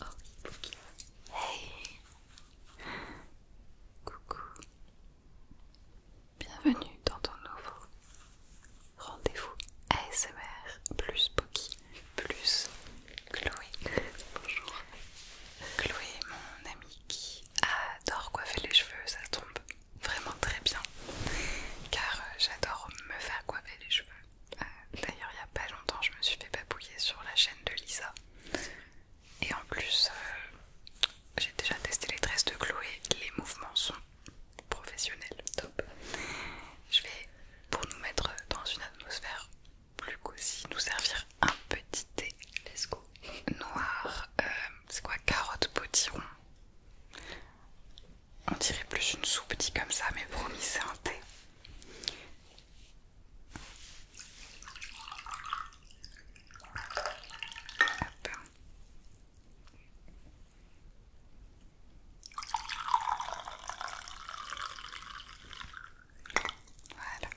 Oh oui, Hey Coucou. Bienvenue dans ton nouveau rendez-vous ASMR plus Bookie plus Chloé. Bonjour. Chloé, mon amie qui adore coiffer les cheveux, ça tombe vraiment très bien. Car euh, j'adore me faire coiffer les cheveux. Euh, d'ailleurs, il n'y a pas longtemps, je me suis fait papouiller sur la chaîne de Lisa. Et en plus, euh, j'ai déjà testé les tresses de Chloé. Les mouvements sont professionnels, top. Je vais, pour nous mettre dans une atmosphère plus cosy, nous servir un petit thé. Let's go. Noir, euh, c'est quoi Carotte potiron. On dirait plus une soupe petit comme ça, mais promis, c'est un thé. Voilà.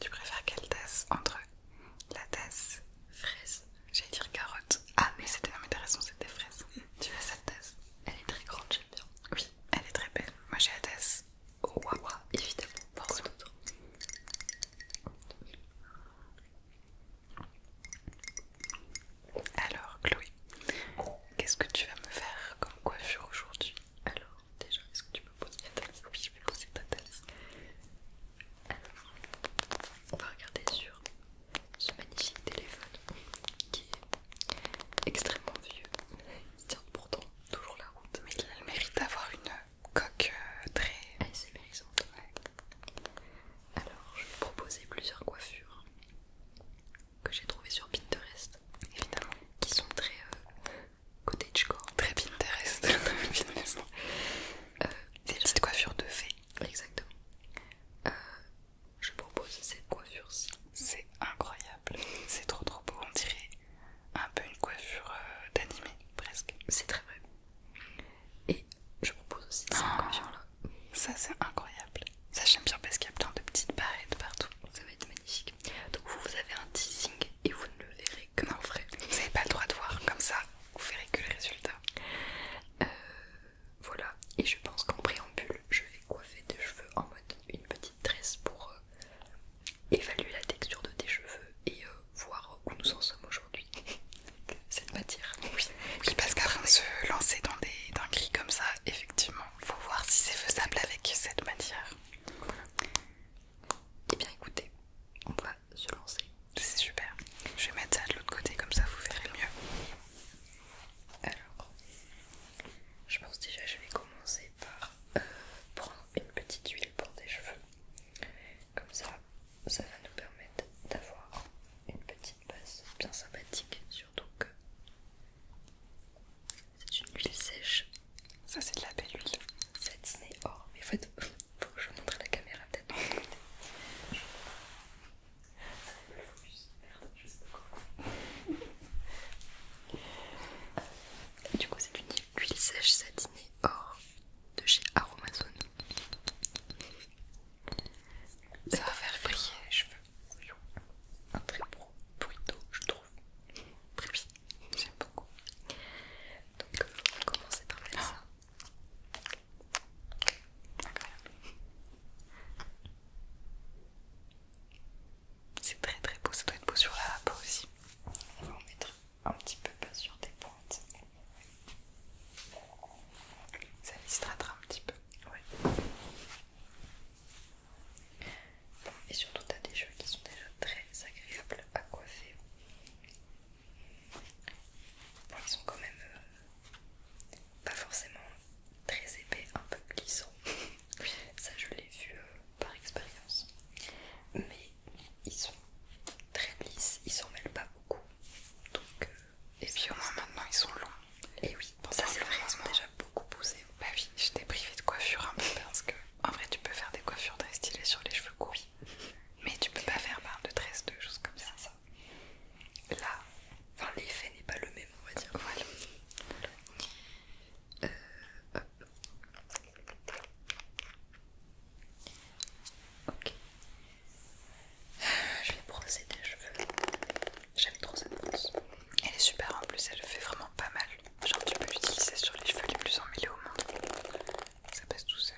Tu préfères quelle tasse entre la tasse fraise J'allais dire carotte. Ah mais c'était non ah, mais t'as raison, c'était fraise. Tu veux cette tasse elle est très grande, j'aime bien. Oui, elle est très belle. Moi j'ai la tasse oh, waouh, évidemment, Alors, Chloé, qu'est-ce que tu vas me faire comme coiffure aujourd'hui Alors, déjà, est-ce que tu peux poser ta tasse Oui, je vais poser ta tasse. Alors, on va regarder sur ce magnifique téléphone qui est extrêmement vieux. Il tient pourtant toujours la route. Mais il mérite d'avoir une coque euh, très ASMRisante. Alors, je vais proposer plusieurs coiffures que j'ai trouvées sur Pinterest, évidemment, qui sont très euh, cottagecore. Très Pinterest. très Pinterest. Euh, Des coiffures de fées. Exactement. Euh, je propose cette coiffure-ci. C'est incroyable, c'est trop trop beau, on dirait un peu une coiffure euh, d'animé presque. C'est très vrai. Et je propose aussi cette ah. coiffure-là. Ça c'est incroyable. Ça j'aime bien parce qu'il y a plein de petites barrettes partout. Ça va être magnifique. Donc vous, vous avez un teasing et vous ne le verrez que dans le vrai. Vous n'avez pas le droit de voir comme ça, vous verrez que le résultat. Euh, voilà, et je pense qu'en préambule, je vais coiffer des cheveux en mode une petite tresse pour euh, évaluer la texture de tes cheveux et euh, voir où nous en sommes aujourd'hui. Cette matière. Oui, parce qu'avant de se lancer dans des dans comme ça, effectivement, faut voir si c'est faisable avec cette matière. Et eh bien écoutez, on va se lancer. C'est super. Je vais mettre ça de l'autre côté comme ça vous verrez mieux. Alors, je pense déjà que je vais commencer par euh, prendre une petite huile pour des cheveux. Comme ça, ça va nous permettre d'avoir une petite base bien sympathique, surtout que c'est une huile sèche. Ça, c'est de la belle huile. Satinée or, oh, mais en faut que je montre à la caméra peut-être du coup, c'est une huile sèche satinée or de chez Aromazone. Ça va faire briller les cheveux. Un très beau bruit d'eau, je trouve. Très bien, j'aime beaucoup. Donc, euh, on va commencer par faire ça. C'est très très beau, ça doit être beau sur la peau aussi. On va en mettre un petit peu, pas sur tes pointes. Ça distratera un petit peu. Et surtout, tu as des cheveux qui sont déjà très agréables à coiffer. Bon, ils sont quand même euh, pas forcément très épais, un peu glissant. Ça, je l'ai vu euh, par expérience. Mais ils sont très lisses, ils s'en mêlent pas beaucoup. Donc, euh, et puis au moins maintenant ils sont longs. Et oui, pour ça c'est vrai, ils sont déjà beaucoup poussé. Bah oui, j'étais privée de coiffure un hein, peu parce que en vrai tu peux faire des coiffures très stylées sur les cheveux courts. Mais tu peux pas faire barre de tresse, de choses comme ça. Là, enfin l'effet n'est pas le même on va dire. Voilà. Euh, Je vais brosser tes cheveux. J'aime trop cette brosse. Elle est super en plus, elle fait vraiment pas mal. Genre tu peux l'utiliser sur les cheveux les plus emmêlés au monde. Ça passe tout seul.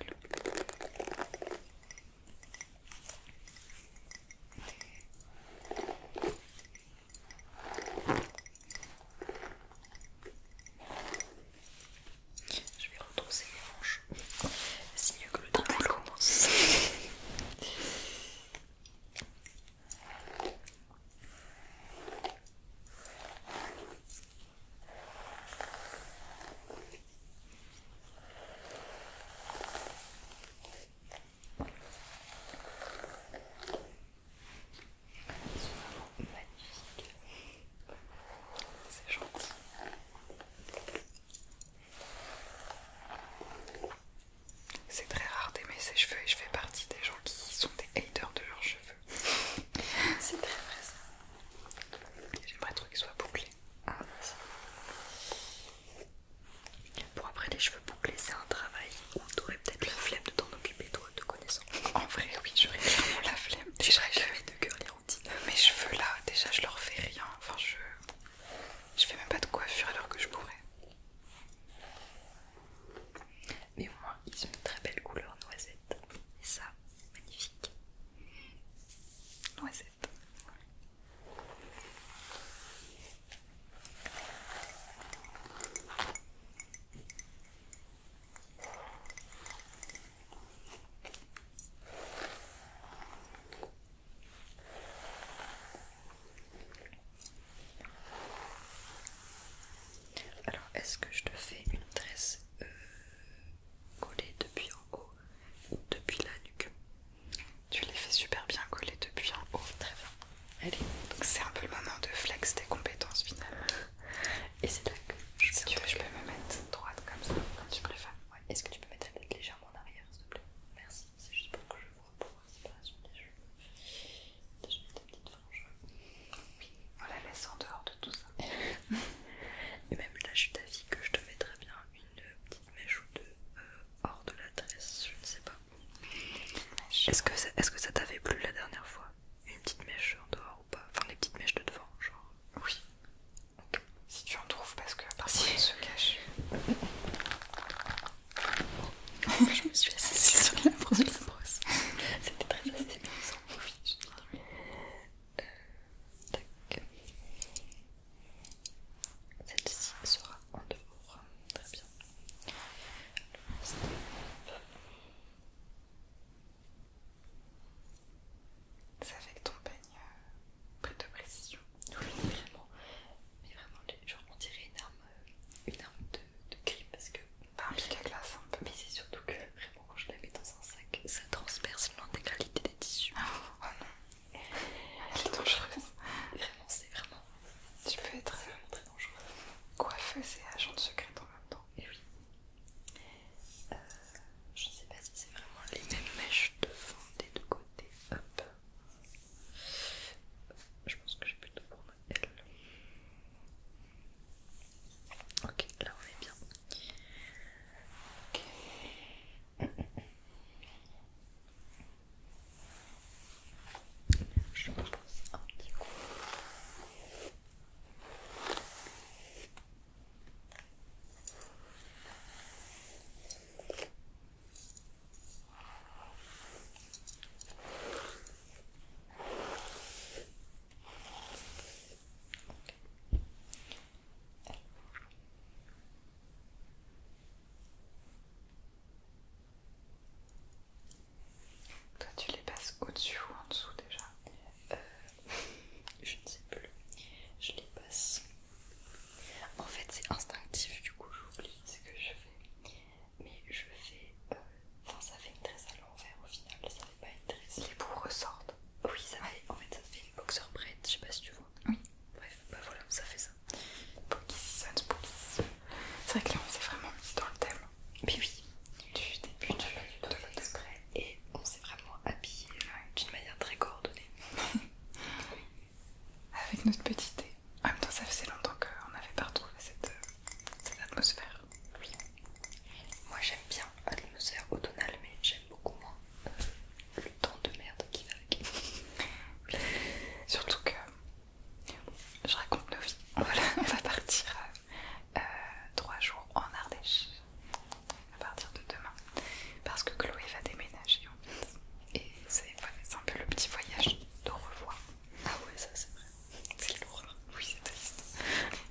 Je vais retrousser les manches. Signe que le travail commence vraiment magnifiques. C'est gentil. C'est très rare d'aimer ses cheveux et je fais partie des gens qui sont des haters de leurs cheveux. C'est très vrai ça. J'aimerais trop qu'ils soient bouclés. Ah, merci. Pour après les cheveux bouclés, c'est un travail où t'aurais peut-être la flemme de t'en occuper, toi, de connaissant. En vrai, oui, j'aurais vraiment la flemme. J'aurais jamais de cœur les routines. Mes cheveux là, déjà, je leur fais rien. Enfin, je. Je fais même pas de coiffure alors que je pourrais. Mais au moins, ils ont une très belle couleur noisette. Et ça, magnifique. Noisette. Alors, est-ce que je te fais une tresse euh, collée depuis en haut depuis la nuque tu les fait super bien coller depuis en haut, très bien. Allez, donc c'est un peu le moment de flex tes compétences finalement. Et c'est là que je, tu peux me mettre droite comme ça, tu préfères. Est-ce que tu peux mettre tête légèrement en arrière, s'il te plaît Merci, c'est juste pour que je vois pour la séparation des cheveux. Déjà petite frange. Oui, on la laisse en dehors de tout ça. Et même là, je suis d'avis que je te mettrais bien une petite mèche ou deux euh, hors de la tresse, je ne sais pas. Est-ce que, ça t'avait plu la dernière fois Une petite mèche en dehors ou pas Enfin, les petites mèches de devant, genre. Oui. Si tu en trouves, parce que parfois si. se cache. je me suis assise sur la brosse. C'était très assez Oui, euh, tac. Celle-ci sera en dehors. Très bien. Ça que avec ton peigne euh, prête de précision. Oui, vraiment. Mais vraiment, je on une arme, euh, une arme de, crime parce que. par la glace un peu. Mais c'est surtout que vraiment, quand je la mets dans un sac, ça transperce l'intégralité des tissus. oh non. Elle est dangereuse. Vraiment, c'est vraiment. Tu peux être euh, vraiment très dangereux. Coiffeuse et agent secrète secret en même temps. Et oui. Euh, je ne sais pas si c'est vraiment les mêmes mèches devant des deux côtés. Hop. Je pense que j'ai plutôt pour moi Ok, là on est bien. Ok. Je pense un petit coup. Toi, tu les passes au-dessus ou en dessous déjà euh, Je ne sais plus. Je les passe. En fait, c'est instinctif, du coup, j'oublie ce que je fais. Mais je fais. Euh, enfin, ça fait une tresse à l'envers au final. Ça va pas une Les bouts ressortent. Oui, ça fait. En fait, ça fait une boxer braid. Je sais pas si tu vois. Oui. Bref, bah voilà, ça fait ça. C'est vrai que là on s'est vraiment mis dans le thème. Puis oui, du début de, de, de Et on s'est vraiment habillé euh, d'une manière très coordonnée. Avec notre petit thé. En même temps, ça faisait longtemps qu'on n'avait pas retrouvé cette, euh, atmosphère. Moi j'aime bien l'atmosphère automnale, mais j'aime beaucoup moins euh, le temps de merde qui va avec. Surtout que je raconte nos vies. on va partir euh, trois jours en Ardèche à partir de demain parce que Chloé va déménager en Et c'est un peu le petit voyage de revoir. Ah ouais, ça c'est vrai. C'est lourd. Hein. Oui, c'est triste.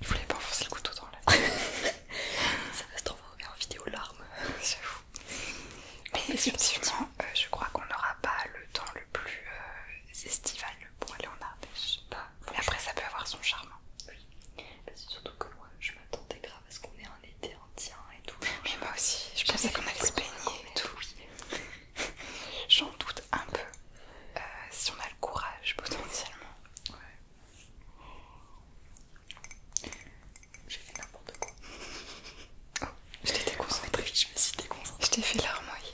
Il voulait pas enfoncer le couteau dans la Ça va se transformer en vidéo larmes. J'avoue. Mais effectivement, euh, je crois qu'on n'aura pas le temps plus euh, estivale pour aller en Ardèche. pas, bah, Mais après, ça peut avoir son charme. Oui, bah, surtout que moi, je m'attendais grave à ce qu'on ait un été entier et tout. Mais moi aussi, je pensais qu'on allait se baigner et tout. J'en doute un peu. Euh, si on a le courage, potentiellement. Ouais. J'ai fait Oh, je l'ai déconcentré. Oh, je me suis déconcentrée. Je t'ai fait larmoyer.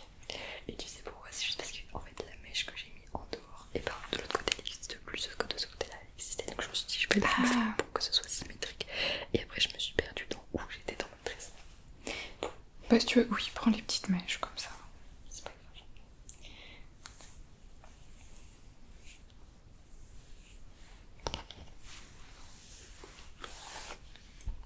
Et tu sais pourquoi C'est juste parce que fait, la mèche que j'ai mise en dehors, et contre ben, de l'autre côté elle n'existe plus, que de ce côté-là elle existait. Donc je me suis dit, je vais ah. la pour que ce soit symétrique. Et après, je me suis perdue dans où j'étais dans ma tresse. Bah, si tu veux, oui, prends les petites mèches comme ça. C'est pas grave.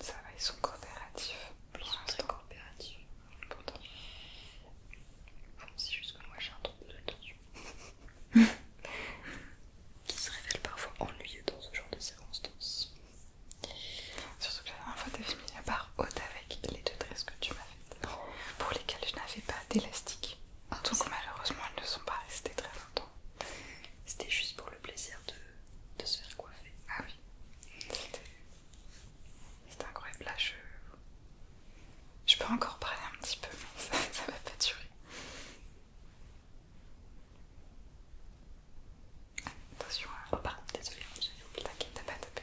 Ça va, ils sont coopératifs. Ils sont très coopératifs. Pourtant. c'est juste que moi j'ai un trouble de l'attention. qui se révèle parfois ennuyeux dans ce genre de circonstances. Surtout que la dernière fois t'as fini la part haute avec les deux tresses que tu m'as fait pour lesquelles je n'avais pas d'élastique. Ah, Donc malheureusement elles ne sont pas restées très longtemps. C'était juste pour le plaisir de, se faire coiffer. Ah oui. C'est incroyable. Là je... peux encore parler un petit peu mais ça, va pas durer. Attention, désolé, j'ai oublié. T'inquiète, t'as pas tapé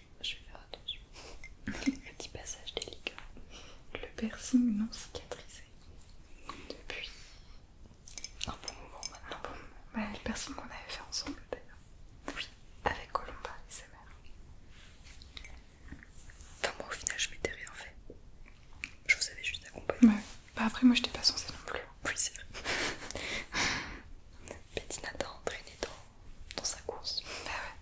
je vais faire attention. petit passage délicat. Le piercing non cicatrisé. Depuis un bon moment maintenant. Bah, le piercing qu'on avait fait ensemble d'ailleurs. Oui. Avec Colomba et sa mère. Enfin moi au final je m'étais rien fait. Je vous avais juste accompagné. Bah après moi je pas censée non plus. Oui c'est vrai. Bettina t'a entraîné dans, dans sa course. Bah ouais.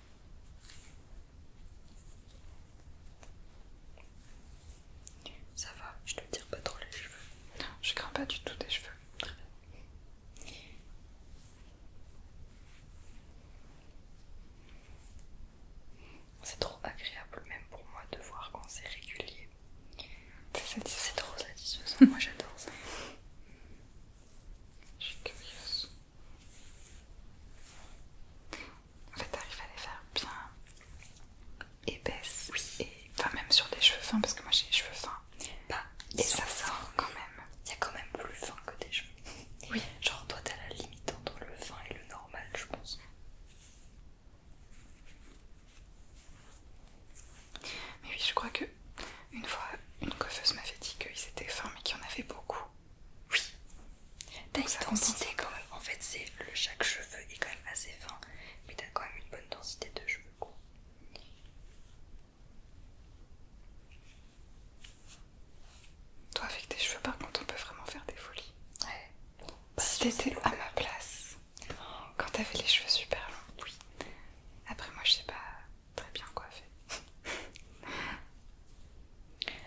Ça va, je te tire pas trop les cheveux. Non, je crains pas du tout des cheveux. Très bien. C'est trop agréable même pour moi de voir quand c'est régulier. C'est trop satisfaisant, moi j'adore ça. Je suis curieuse. En fait, t'arrives à les faire bien épaisses. Et même sur des cheveux fins, parce que moi j'ai les cheveux fins. et ça sort quand même. Il y a quand même plus fin que des cheveux. Oui. Genre, toi t'as la limite entre le fin et le normal, je pense. Mais oui, je crois que une fois, une coiffeuse m'avait dit qu'ils étaient fins mais qu'il y en avait beaucoup. Oui. T'as une densité quand même. En fait, c'est le chaque cheveu est quand même assez fin, mais t'as quand même une bonne densité de cheveux. Toi, avec tes cheveux, par contre, on peut vraiment faire des folies. Ouais. si bah, à ma place, quand t'avais les cheveux super longs. Oui. Après, moi, je sais pas très bien coiffé.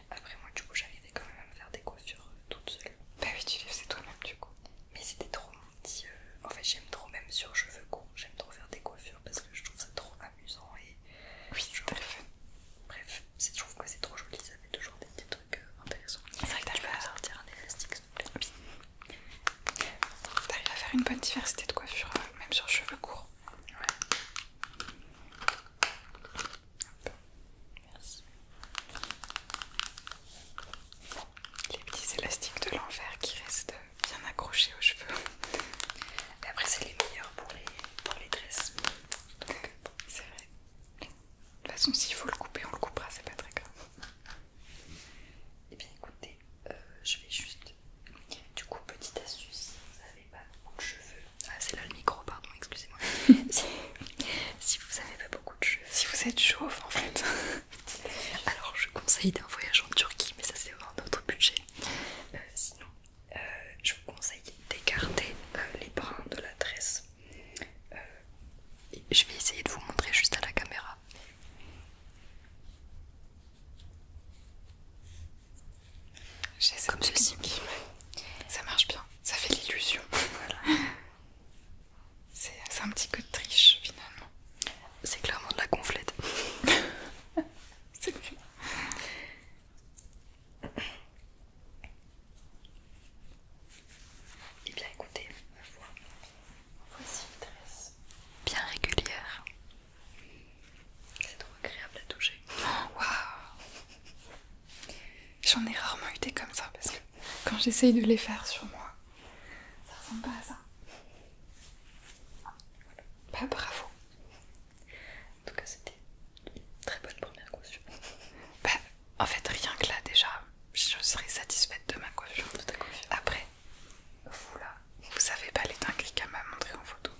Après moi du coup j'arrivais quand même à me faire des coiffures euh, toute seule. Bah oui tu les faisais toi-même du coup. Mais c'était trop mon petit... Euh, en fait j'aime trop même sur cheveux courts, j'aime trop faire des coiffures parce que je trouve ça trop amusant et... Oui c'est très fun. Bref, je trouve que c'est trop joli, ça fait toujours des, petits trucs euh, intéressants. C'est vrai que tu peux sortir un élastique s'il te plaît. T'arrives à faire une bonne diversité de coiffures, même sur cheveux courts. Les petits élastiques de l'enfer qui restent bien accrochés aux cheveux. après, c'est les meilleurs pour les, dresses. C'est vrai. De toute façon, s'il faut le couper, on le coupera, c'est pas très grave. Et bien écoutez, euh, je vais juste du coup, petite astuce, si vous n'avez pas beaucoup de cheveux, ah c'est là le micro, pardon, excusez-moi. si vous n'avez pas beaucoup de cheveux, si vous êtes chauve en fait, alors je conseille d'un voyage en Turquie, mais ça c'est un autre budget. Euh, sinon, euh, je vous conseille d'écarter euh, les brins de la tresse. je vais essayer de vous montrer juste à la caméra. J'ai Comme ceci. Ça marche bien, ça fait l'illusion. C'est un petit coup de triche finalement. C'est clairement de la gonflette. C'est bien. Eh bien écoutez, ma voici une tresse bien régulière. C'est trop agréable à toucher. Waouh J'en ai rarement eu des comme ça parce que quand j'essaye de les faire sur moi, ça ressemble pas à ça. Bah bravo En tout cas c'était une très bonne première coiffure. Bah en fait rien que là déjà, je serais satisfaite de ma coiffure. Après, vous là, vous savez pas les dingueries qu'elle m'a montré en photo.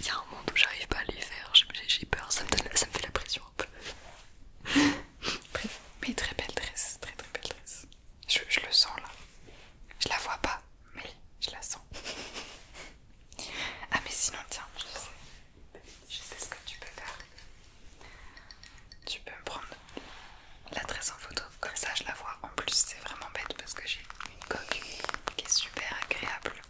Il y a un monde où j'arrive pas à le faire, j'ai peur, ça me, ça me fait la pression un peu. mais très belle dresse, très très belle tresse. Je, le sens là. Je la vois pas, mais je la sens. Ah mais sinon tiens, je sais, je sais ce que tu peux faire. Tu peux me prendre la dresse en photo, comme ça je la vois. En plus c'est vraiment bête parce que j'ai une coque qui est super agréable.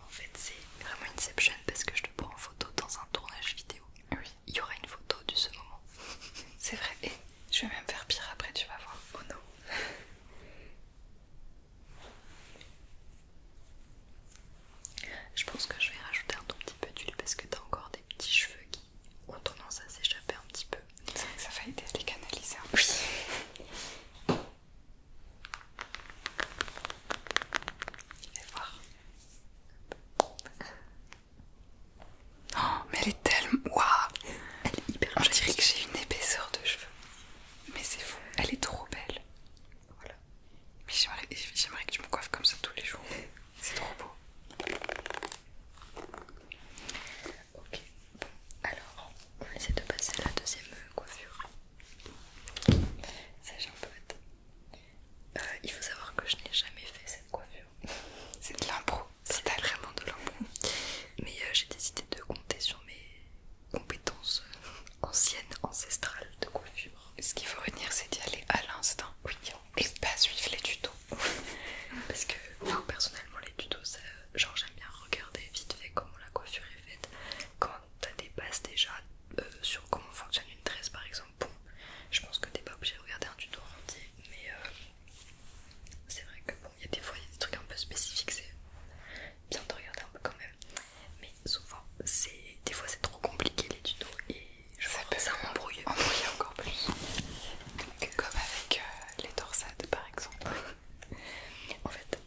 En fait, c'est vraiment Inception parce que je te prends en photo dans un tournage vidéo. Oui. Il y aura une photo de ce moment. C'est vrai, et je vais même faire pire après, tu vas voir. Oh non! Je pense que je vais rajouter un tout petit peu d'huile parce que t'as encore des petits cheveux qui ont tendance à s'échapper un petit peu. C'est vrai que ça va aider à les canaliser un peu. Oui. Je vais voir. Oh, mais elle est tellement. Waouh! Elle est hyper Je dirais que j'ai une épaisseur de cheveux. Mais c'est fou, elle est trop belle. Voilà. Mais j'aimerais que tu me coiffes comme ça tous les jours. C'est trop beau. Ok. Bon, alors, on essayer de passer à la deuxième euh, coiffure. Ça, j'ai un peu hâte. Euh, il faut savoir que je n'ai jamais fait cette coiffure. C'est de l'impro. C'est vraiment de l'impro. Mais euh, j'ai décidé de compter sur mes compétences ancienne ancestrale de coiffure. Ce qu'il faut retenir, c'est d'y aller à l'instant oui. et pas suivre les tutos. Parce que moi, personnellement, les tutos, genre j'aime bien regarder vite fait comment la coiffure est faite. Quand t'as des bases déjà euh, sur comment fonctionne une tresse, par exemple, bon, je pense que t'es pas obligé de regarder un tuto entier, mais euh, c'est vrai que bon, il y a des fois, des trucs un peu spécifiques, c'est bien de regarder un peu quand même souvent c'est des fois c'est trop compliqué les tutos et genre, ça peut m'embrouille encore plus comme avec euh, les torsades par exemple en fait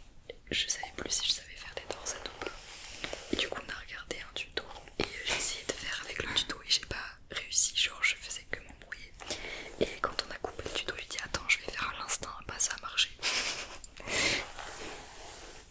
je savais plus si je savais faire des torsades ou pas du coup on a regardé un tuto et j'ai essayé de faire avec le tuto et j'ai pas réussi genre je faisais que m'embrouiller et quand on a coupé le tuto j'ai dit attends je vais faire à l'instinct pas ça a marché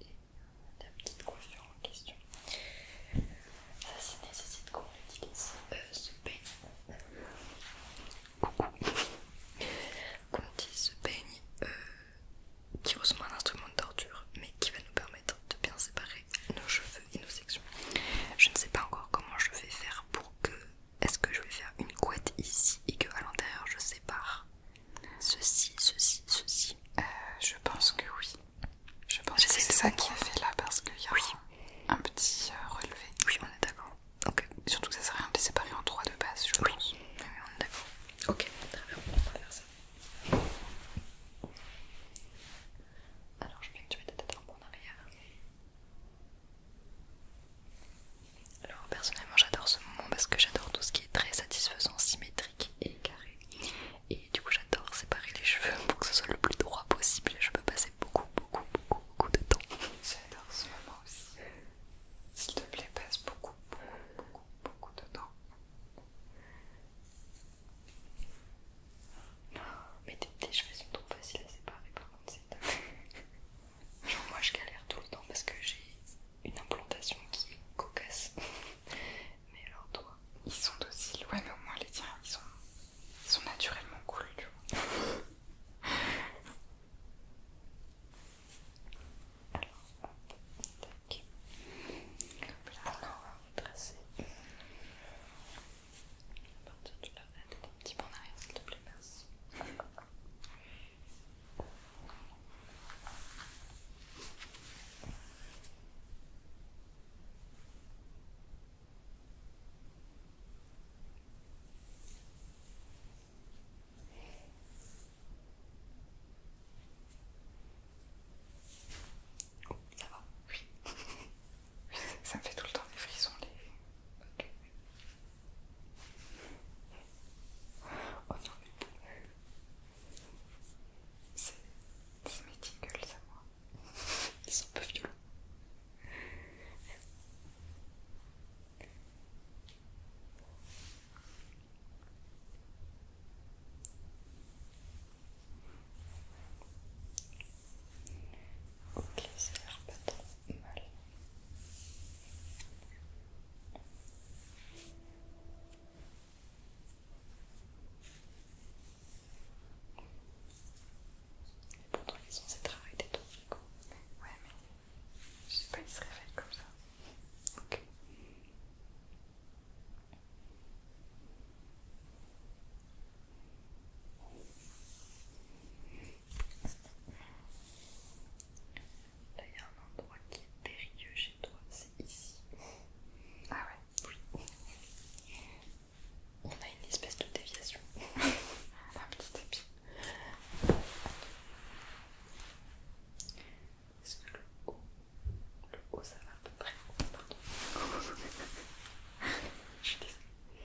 et euh, la petite coiffure en question. Ça, nécessite qu'on utilise euh, ce peigne. Coucou! Qu'on utilise ce peigne euh, qui ressemble à un instrument de torture, mais qui va nous permettre de bien séparer nos cheveux et nos sections. Je ne sais pas encore comment je vais faire pour que. Est-ce que je vais faire une couette ici et que à l'intérieur je sépare Ceci, ceci, ceci. Euh, je pense que oui. Je pense que c'est ça qui a fait là parce qu'il y a un, petit euh, relevé. Oui, on est d'accord. Surtout que ça sert à rien de séparer en trois de base, je pense. Oui, on est d'accord. Ok, très bien, on va faire ça. Alors, je vais que tu mettes ta tête en arrière. Alors personnellement j'adore ce moment parce que j'adore tout ce qui est très satisfaisant, symétrique et carré. Et du coup j'adore séparer les cheveux pour que ce soit le plus droit possible et je peux passer beaucoup beaucoup beaucoup beaucoup de temps. J'adore ce moment aussi. S'il te plaît passe beaucoup beaucoup beaucoup beaucoup de temps. Mais tes cheveux sont trop faciles à séparer par contre Genre moi je galère tout le temps parce que j'ai une implantation qui est cocasse. Mais leurs doigts, ils sont dociles. Ouais, mais au moins les tiens, ils sont, sont naturellement cool, tu vois. alors, tac. Hop on va tracer. À partir de là, un petit peu en arrière, s'il te plaît, merci ça va, Ça me fait tout le temps des frissons les... Oh non, c'est mes tingles à moi. Ils sont un peu violents. Ok, ça a l'air pas trop mal. Pourtant ils ont ces travailler des temps. Ouais mais je ne sais pas ils se réveillent comme ça. Ok. Là, il y a un endroit qui est périlleux chez toi, c'est ici. Ah ouais Oui. On a une espèce de déviation. un petit tapis. Est-ce que le haut, le haut ça va à peu près Pardon. Je suis désolée.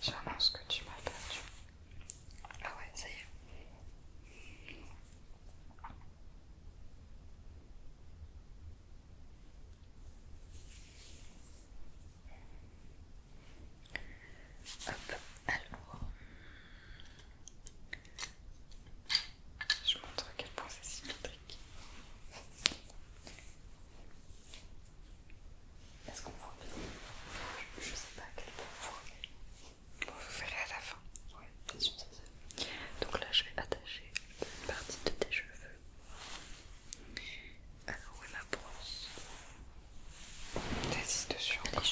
J'annonce que tu m'as perdu. Ah ouais, ça y est. Hop, alors. Je montre à quel point c'est symétrique. Est-ce qu'on voit bien je, sais pas à quel point on voyez. vous verrez à la fin. Oui, bien sûr, c'est ça. Donc là, je vais attacher une partie de tes cheveux. Alors, où est ma brosse T'assistes dessus encore.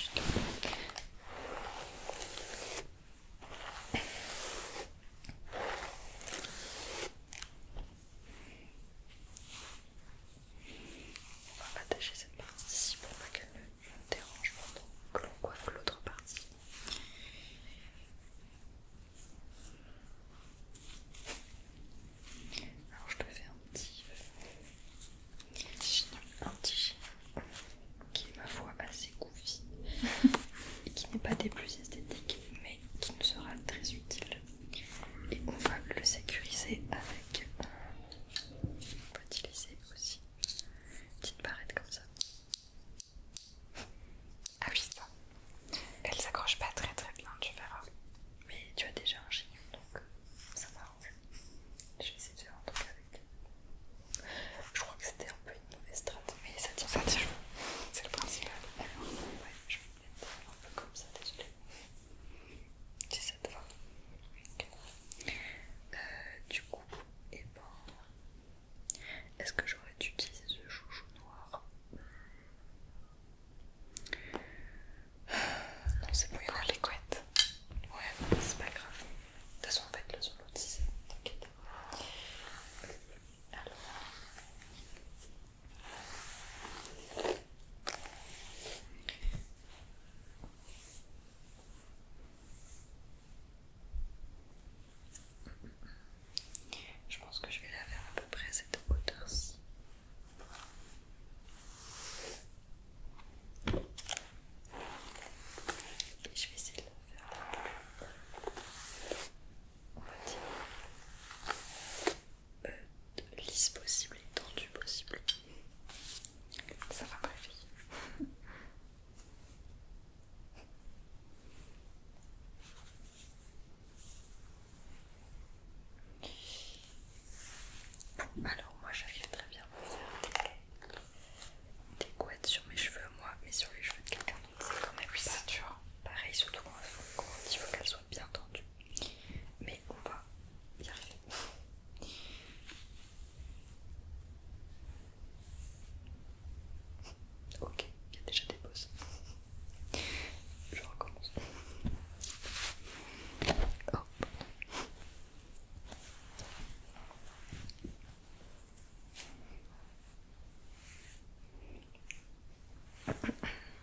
On va attacher cette partie-ci pour pas qu'elle ne dérange pendant que l'on coiffe l'autre partie. Alors je te fais un petit, un petit qui est ma foi assez goofy et qui n'est pas des plus esthétiques mais qui nous sera très utile et on va le sécuriser avec on peut utiliser aussi une petite barrette comme ça ah oui ça elle s'accroche pas très très bien tu verras mais tu as déjà un chignon donc ça m'arrange je vais essayer de faire un truc avec je crois que c'était un peu une mauvaise strate mais ça tient c'est le principal alors ouais je vais me mettre un peu comme ça désolé 17 fois euh, du coup, et eh ben, est-ce que j'aurais dû utiliser ce chouchou noir Non, c'est pour y voir les couettes. Ouais, c'est pas grave. De toute façon, on va être le sur l'autre, si t'inquiète. Alors, je pense que je vais la faire à peu près à cette hauteur-ci. Et je vais essayer de la faire plus. Euh, lisse possible et tendue possible. Ça va ma Alors moi j'arrive très bien à faire des, couettes sur mes cheveux moi, mais sur les cheveux de quelqu'un d'autre c'est quand même oui, dur. Pareil surtout quand il faut qu'elles soient bien tendues. Mais on va va y arriver. Ok, il y a déjà des pauses. Je recommence. Oh.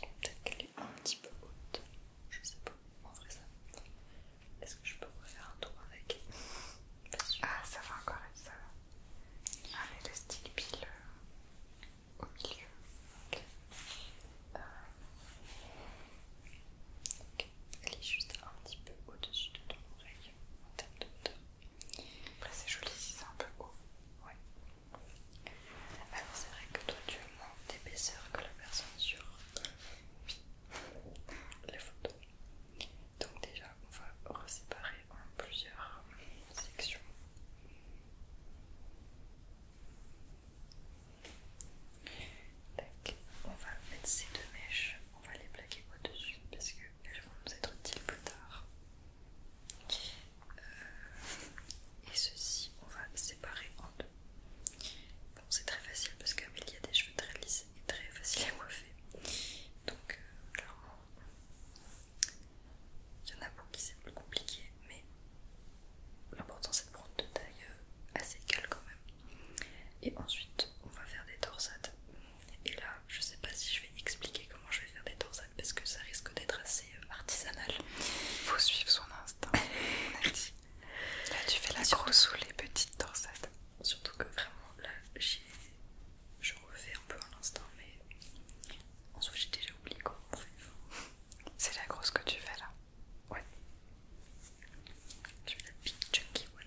Peut-être qu'elle est un petit peu haute, je sais pas, en vrai ça. Est-ce que je peux refaire un tour avec Ah, ça va encore être ça. va. le style pile euh, au milieu. ok. Elle est juste un petit peu au-dessus de ton oreille en termes de hauteur. Après, c'est joli si c'est un peu haut. Ouais. Alors c'est vrai que toi tu as moins d'épaisseur que la personne sur les photos. Donc déjà on va reséparer en plusieurs sections. On va mettre ces deux mèches, on va les plaquer au-dessus parce qu'elles vont nous être utiles plus tard. Euh, et ceci, on va séparer en deux. Bon, c'est très facile parce y a des cheveux très lisses et très faciles à coiffer. Donc, euh, il y en a beaucoup qui c'est plus compliqué, mais l'important c'est de prendre de taille euh, assez égales quand même. Et ensuite, on va faire des torsades. Et là, je sais pas si je vais expliquer comment je vais faire des torsades parce que ça risque d'être assez euh, artisanal, il Faut suivre son instinct, on a dit. Là, tu fais la grosse ou les petites torsades Surtout que vraiment, là, j'ai. Je refais un peu à l'instant, mais en soit j'ai déjà oublié comment on fait. C'est la grosse que tu fais là Ouais. Je fais la big chunky one.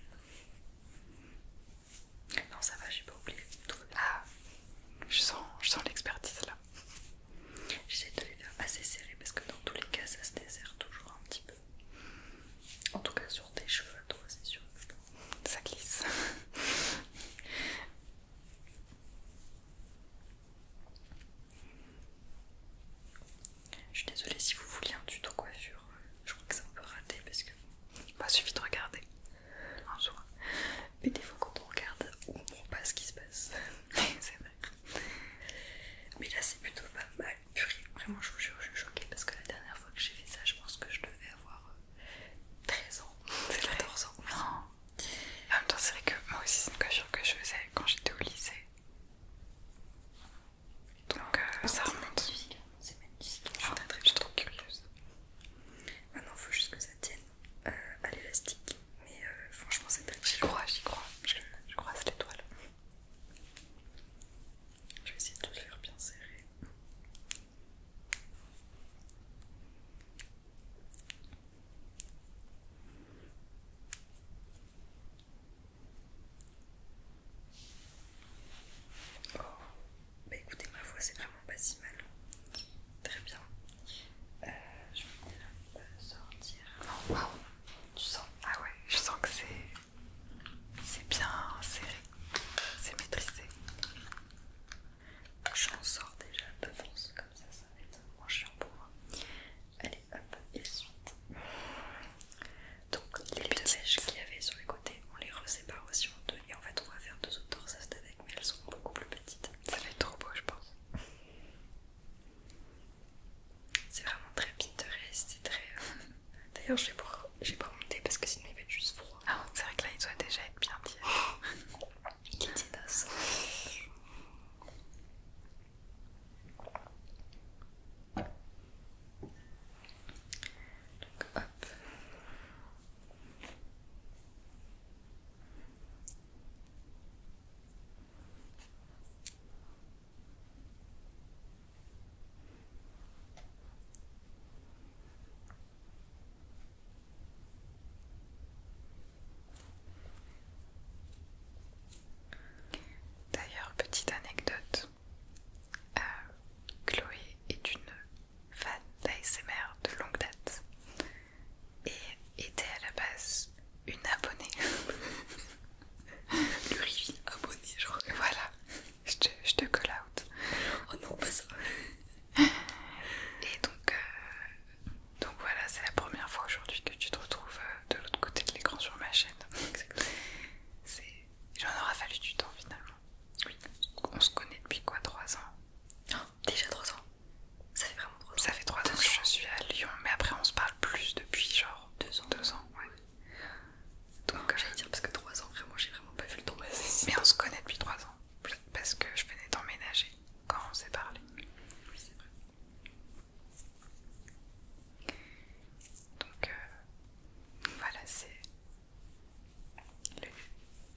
Non, ça va, j'ai pas oublié. Tout Ah, je sens, je sens l'expertise là. J'essaie de les faire assez serrés parce que dans tous les cas, ça se dessert toujours un petit peu. En tout cas, sur tes cheveux, toi, c'est sûr. Ça glisse. Je suis désolée si vous vouliez un tuto coiffure. Euh, je crois que ça peut rater parce que. Bah, suffit de regarder. Mais des fois, quand on regarde, on voit pas ce qui se passe. c'est vrai. Mais là, c'est plutôt pas mal. Purée, vraiment, je vous jure, je suis choquée parce que la dernière fois que j'ai fait ça, je pense que je devais avoir 13 euh, ans. C'est 14 ans. Non. En même temps, c'est vrai que moi aussi, c'est une coiffure que je faisais quand j'étais au lycée. Donc, euh, ça remonte. C'est magnifique. Je suis très curieuse. Maintenant, ah faut juste que ça tienne euh, à l'élastique. Mais euh, franchement, c'est pas J'y crois, j'y crois. Je, crois à étoile Je vais essayer de le faire bien serré. Oh, bah écoutez, ma voix c'est vraiment pas si mal. Très bien. Euh, je vais sortir. waouh, tu sens Ah ouais, je sens que c'est bien serré, c'est maîtrisé. Je m'en sors déjà force, comme ça, ça va être moins chiant pour moi. Allez, hop, et suite. Donc, les, les petites qu'il y avait sur les côtés, on les resépare aussi en deux et en fait, on va faire deux autres torsades année mais elles sont beaucoup plus petites. Ça va être trop beau, je pense. C'est vraiment très pinterest, c'est très. D'ailleurs, je j'ai pas monté parce que sinon il fait juste froid. Ah, c'est vrai que là il doit déjà être bien tiède. il est Donc hop. D'ailleurs, petite anecdote, euh, Chloé est une fan d'ASMR de longue date et était à la base une abonnée. Lurie abonnée je genre. Voilà, je te, je te call out. Oh non, pas ça. Et donc, euh, donc voilà, c'est la première fois aujourd'hui que tu te retrouves euh, de l'autre côté de l'écran sur ma chaîne. Exactement. J'en aura fallu du temps finalement. Oui. On se connaît depuis quoi 3 ans oh, Déjà 3 ans ça fait vraiment Ça fait 3 ans que je suis à Lyon, mais après on se parle plus depuis genre 2 ans. 2 ans, ouais. Donc euh, j'allais dire parce que 3 ans, vraiment, j'ai vraiment pas vu le temps passer. Mais on se connaît depuis 3 ans, parce que je venais d'emménager quand on s'est parlé. Oui, c'est vrai. Donc euh, voilà, c'est le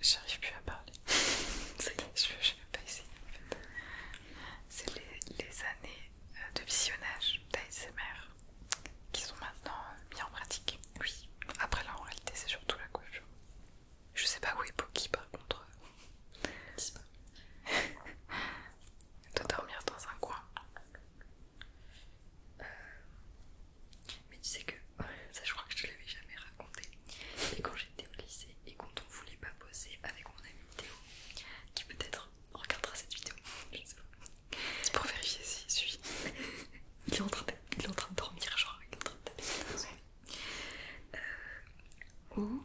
J'arrive plus à parler. Ça je ne vais pas essayer en fait. C'est les, années euh, de visionnage d'ASMR qui sont maintenant euh, mises en pratique. Oui, après là en réalité c'est surtout la couche. Je sais pas où est Poki par contre. Dis pas. de dormir dans un coin. Euh, mais tu sais que, ça je crois que je te l'avais jamais raconté, mais quand j'étais au lycée, et quand on voulait pas poser avec mon ami Théo qui peut-être regardera cette vidéo, je sais pas. C'est pour vérifier s'il suit. il, est en train de, dormir, genre il est en train de taper euh, Ou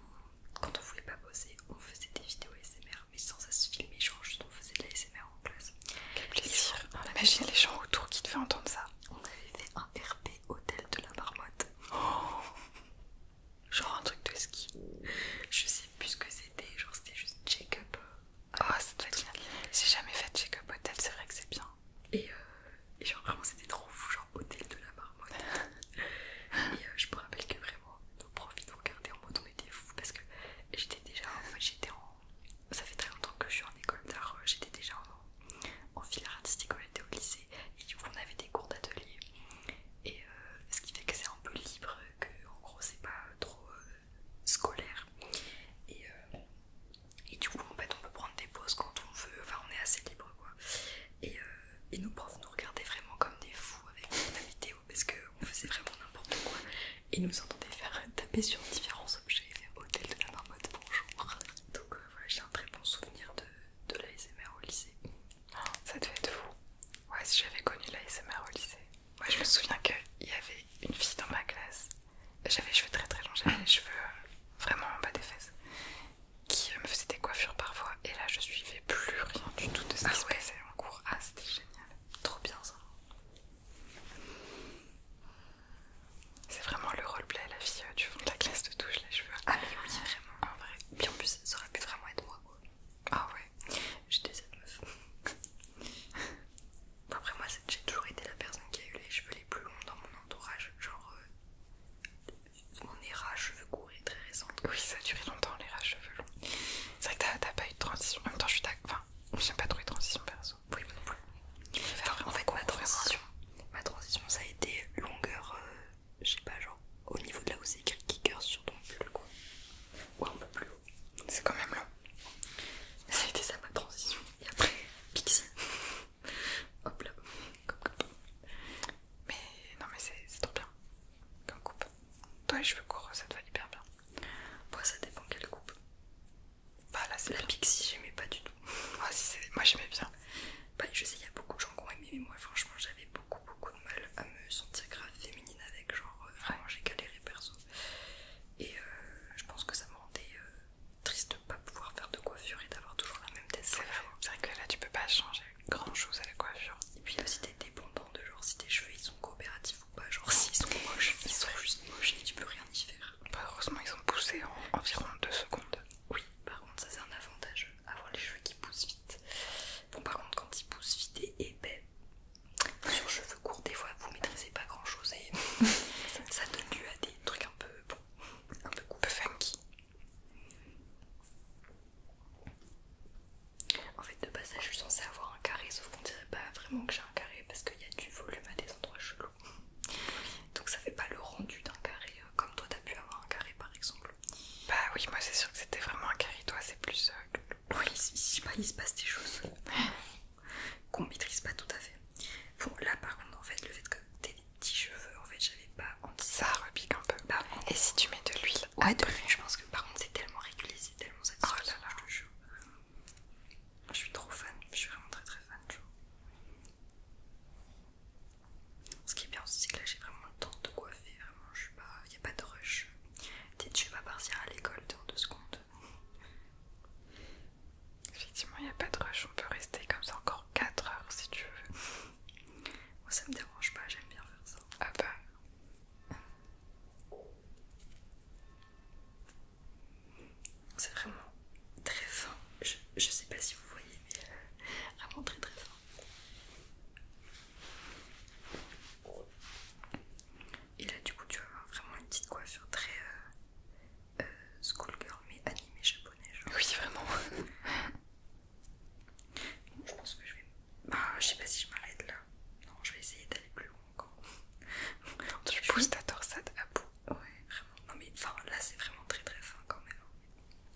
quand on voulait pas poser, on faisait des vidéos ASMR mais sans ça se filmer, genre juste on faisait de la SMR en classe. Quel plaisir! imagine les gens autour qui devaient entendre ça. On avait fait un RP Hôtel de la Marmotte Oh genre un truc de ski. Je sais plus ce que c'était, genre c'était juste check-up. oh, ça doit être J'ai jamais fait check-up hôtel, c'est vrai que c'est bien. Euh, et, genre vraiment c'était trop fou, genre hôtel de la marmotte. et euh, je me rappelle que vraiment, nos profs ils nous regardaient en mode on était fous parce que j'étais déjà, en j'étais en... Ça fait très longtemps que je suis en école d'art, euh, j'étais déjà en en filaire artistique on était au lycée et du coup on avait des cours d'atelier et euh, ce qui fait que c'est un peu libre, que en gros c'est pas trop euh, scolaire et, euh, et du coup en fait on peut prendre des pauses quand on veut, enfin on est assez libre quoi et, nos profs nous regardaient vraiment comme des fous avec la vidéo parce qu'on faisait vraiment n'importe quoi et nous entendait faire taper sur différents objets, faire hôtel de la marmotte, bonjour donc voilà j'ai un très bon souvenir de de l'ASMR au lycée. ça fait être fou. Ouais, si j'avais connu l'ASMR au lycée. Moi, je me souviens qu'il y avait une fille dans ma classe. J'avais les cheveux très très longs, j'avais les cheveux euh, vraiment en bas des fesses. Qui euh, me faisait des coiffures parfois. Et là, je suivais plus rien du tout de ça. Ah ouais. se passait en cours. Ah, c'était génial. Trop bien ça. C'est vraiment le roleplay, la fille euh, du fond de la classe de touche les cheveux. Ah oui, vraiment. En vrai. bien plus, ça aurait pu vraiment être moi quoi. Ah ouais, j'étais cette meuf. Après, moi, j'ai toujours été la personne qui a eu les cheveux les plus longs dans mon entourage. Genre, euh, mon érage cheveux courts est très récente. Oui, ça a duré longtemps, l'érage cheveux longs. C'est vrai que t'as pas eu de transition. En même temps, je suis d'accord. Enfin, pas trop les transition perso. Oui, mais non plus. En fait, ma transition, ma transition, ça a été longueur. Euh, je sais pas, genre au niveau de là où c'est écrit kicker sur ton cul, quoi. Ou un peu plus haut. C'est quand même long. Ça a été ça ma transition. Et après, pixie. Hop là. Comme coupe. Mais non mais c'est trop bien. Comme coupe. Toi les cheveux courts, ça te va hyper bien. Moi ça dépend quelle coupe. Bah là c'est la pixie, j'aimais pas du tout. si moi j'aimais bien. Bah, je sais, il y a beaucoup de gens qui ont aimé, mais moi, franchement, j'avais beaucoup, beaucoup de mal à me sentir grave féminine avec. Genre, euh, vraiment, j'ai galéré perso. Et euh, je pense que ça me rendait euh, triste de ne pas pouvoir faire de coiffure et d'avoir toujours la même tête. C'est vrai, que là, tu peux pas changer grand chose à la coiffure. Et puis, aussi, dépendant de genre si tes cheveux ils sont coopératifs ou pas. Genre, s'ils sont moches, ils sont juste moches et tu peux rien y faire. Bah, heureusement, ils sont poussés en environ 2 secondes. Oui, par contre, ça c'est un avantage avoir les cheveux qui poussent vite. Bon, par contre, quand ils poussent vite et épais, sur cheveux courts, des fois vous maîtrisez pas grand chose et ça donne lieu à des trucs un peu bon, un peu, funky. En fait, de base, je suis censée avoir un carré, sauf qu'on dirait pas vraiment que j'ai un carré parce qu'il y a du volume à des endroits chelou. Donc ça fait pas le rendu d'un carré euh, comme toi as pu avoir un carré par exemple. Bah oui, moi c'est sûr que c'était vraiment un carré, toi c'est plus... Euh, oui, si, il se passe des choses qu'on maîtrise pas tout à fait. Bon là par contre en fait le fait que t'aies des petits cheveux, en fait j'avais pas anticipé. Ça repique un peu. Bah, Et si tu mets de l'huile à ah, de l'huile, je pense que par contre c'est tellement régulier, c'est tellement oh satisfaisant. je Je suis trop fan, je suis vraiment très très fan, tu vois. Ce qui est bien aussi, c'est que là j'ai vraiment le temps de coiffer, vraiment, je suis pas. Il n'y a pas de rush. tu je vais pas partir à l'école dans deux secondes. Effectivement, il n'y a pas de rush, on peut rester comme ça encore 4 heures si tu veux. Moi ça me dérange pas, j'aime bien faire ça. Ah bah. C'est vraiment très fin. Je, sais pas si vous voyez, mais vraiment très très fin. Et là, du coup, tu vas avoir vraiment une petite coiffure très euh, euh, schoolgirl, mais animée japonais. Genre. Oui, vraiment. je pense que je vais. Bah, je sais pas si je m'arrête là. Non, je vais essayer d'aller plus loin encore. tu pousses ta torsade à bout. Ouais, vraiment. Non, mais là, c'est vraiment très très fin quand même. Hein.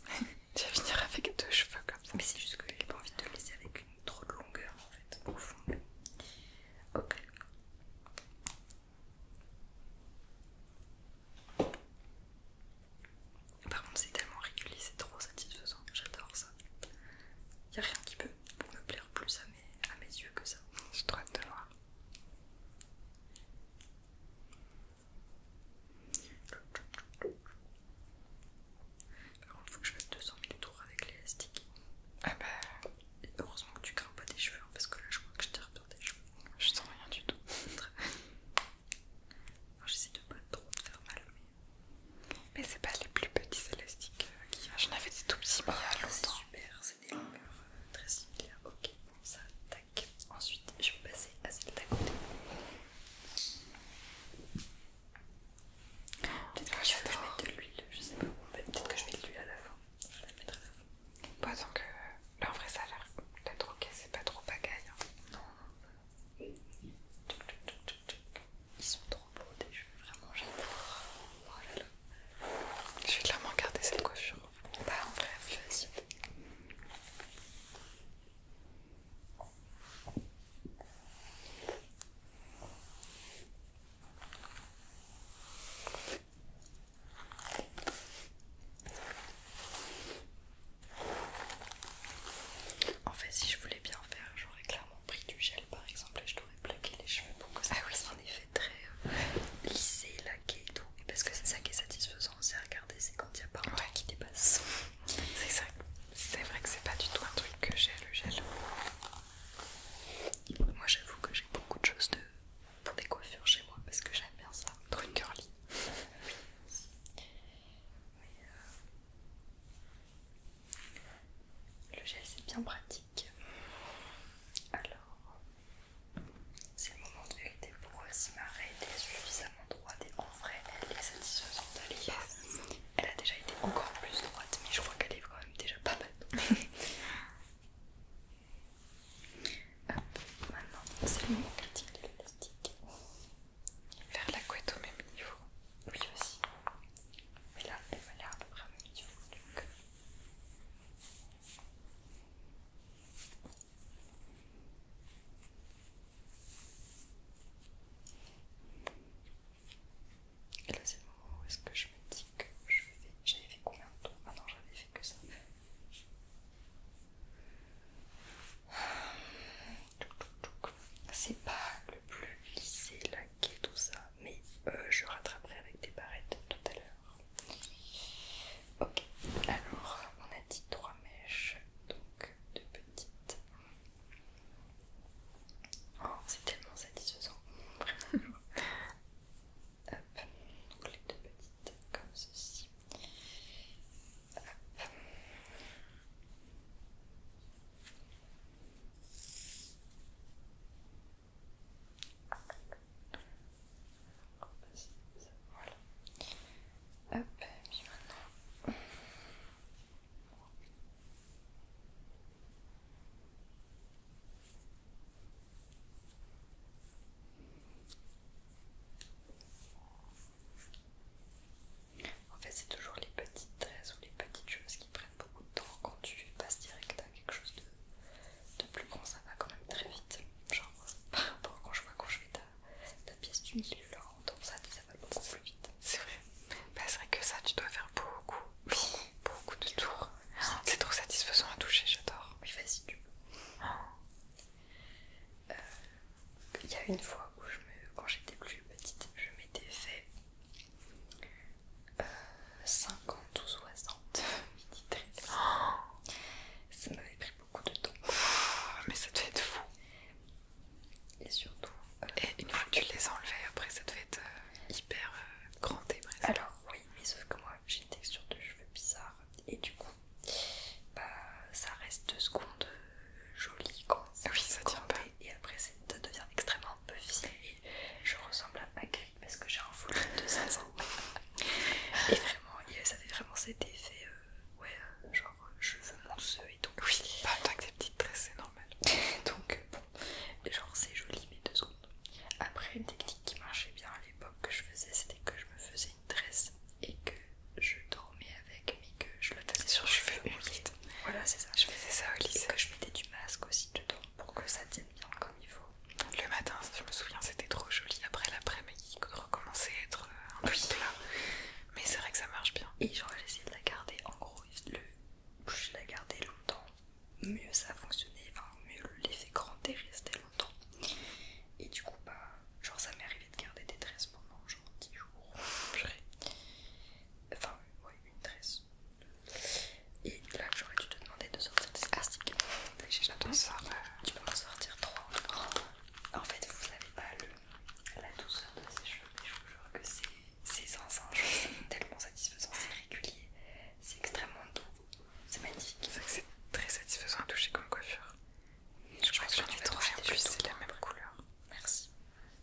tu vas avec deux cheveux comme ça. Mais c'est juste que j'ai pas envie de laisser avec une trop de longueur en fait, au fond. Ok. Par contre, c'est tellement régulier, c'est trop satisfaisant, j'adore ça. Y a rien qui peut me plaire plus à mes, à mes yeux que ça. Je trop hâte de voir. Alors, il faut que je fasse 200 000 tours avec l'élastique. Ah bah. heureusement que tu grimpes pas tes cheveux, hein, parce que là, je crois que je tire peur tes cheveux. Je sens rien du tout. Enfin, J'essaie de pas trop te faire mal, mais. Mais c'est pas les plus petits élastiques qu'il y a. J'en avais des tout petits, mais il ah, longtemps. C'est super, c'est des longueurs euh, très similaires. Ok, bon, ça Ensuite, je vais passer à celle d'à côté. Peut-être que, je vais mettre de l'huile, je sais pas. Peut-être que je mets de l'huile à la fin. Je vais la mettre à la fin. donc, là en vrai ça a l'air, d'être ok. c'est pas trop bagaille. Hein. Non, non. Ils sont trop beaux des jeux, vraiment j'adore. Oh je vais clairement garder cette coiffure. Bah en vrai, facile. En fait, si je voulais bien faire, j'aurais clairement pris du gel par exemple et je t'aurais plaqué les cheveux pour que ça ah effet très euh, lissé, laqué et tout. Parce que c'est ça qui est satisfaisant aussi à regarder, c'est quand il n'y a pas un qui dépasse. C'est vrai que c'est pas du tout un truc que j'ai le gel. Moi j'avoue que j'ai beaucoup de choses de... pour des coiffures chez moi parce que j'aime bien ça. Truc curly. Le gel c'est bien pratique. Alors, c'est le moment de vérité pour et marrer des droite et en vrai elle est satisfaisante à Elle a déjà été encore plus droite mais je crois qu'elle est quand même déjà pas mal. Hop, maintenant c'est le moment critique de l'élastique. Faire la couette au même niveau. Oui aussi. Mais là elle m'a l'air à peu près au Donc... Euh. Et là, c'est le moment où est-ce que je me dis que je vais. J'avais fait combien de temps Ah non, j'avais fait que ça. C'est pas le plus lissé, laqué, tout ça, mais euh, je rattraperai avec des barrettes tout à l'heure. Ok, alors on a dit trois mèches, donc de petite. Oh, c'est tellement satisfaisant. Hop, donc les deux petites comme ceci. Hop, puis maintenant. En fait, c'est toujours les petites tresses ou les petites choses qui prennent beaucoup de temps quand tu passes direct à quelque chose de, plus grand, ça va quand même très vite. Genre, par rapport quand je vois quand je la pièce du milieu en ça va beaucoup plus vite. C'est vrai. Bah, c'est vrai que ça, tu dois faire beaucoup, beaucoup, de tours. C'est trop satisfaisant à toucher, j'adore. Oui, vas-y, tu peux. Euh, il y a une fois où je me, quand j'étais plus petite, je m'étais fait 50 euh, ou 60 mini ça m'avait pris beaucoup de temps. Mais ça devait être fou. Et surtout. Euh, une fois que tu les as enlevés, après ça devait être euh, hyper euh, grandé et Alors, oui, mais sauf que moi j'ai une texture de cheveux bizarre et du coup, bah ça reste deux secondes joli quand ça oui, ça tient pas. Et après, ça devient extrêmement puffy et je ressemble à Magritte parce que j'ai un foulard de 5 ans. et vraiment, ça fait vraiment cet effet, ouais, genre je veux mon et donc oui pas de des petites tresses c'est normal donc bon genre c'est joli mais deux secondes après une technique qui marchait bien à l'époque que je faisais c'était que je me faisais une tresse et que je dormais avec mais que je le tassais sur cheveux humides voilà c'est ça je faisais ça au lycée que je mettais du masque aussi dedans pour que ça tienne bien comme il faut le matin, je me souviens, c'était trop joli. Après l'après-midi, recommençait à être euh, un peu plat. Mais c'est vrai que ça marche bien. Et genre, j'ai essayé de la garder. En gros, le plus je l'ai gardée longtemps, mieux ça fonctionné. Enfin, mieux l'effet grand est resté longtemps. Et du coup, bah, genre, ça m'est arrivé de garder des tresses pendant genre 10 jours. Enfin, ouais, une tresse. Et là, j'aurais dû te demander de sortir des astiques. J'attends ça. Tu peux en sortir trois. En fait, vous n'avez pas le la douceur de ses cheveux, mais je vous que c'est zinzin, je tellement satisfaisant, c'est régulier, c'est extrêmement doux, c'est magnifique. C'est que c'est très satisfaisant à toucher comme coiffure. Je, crois que plus, c'est la même couleur. Merci.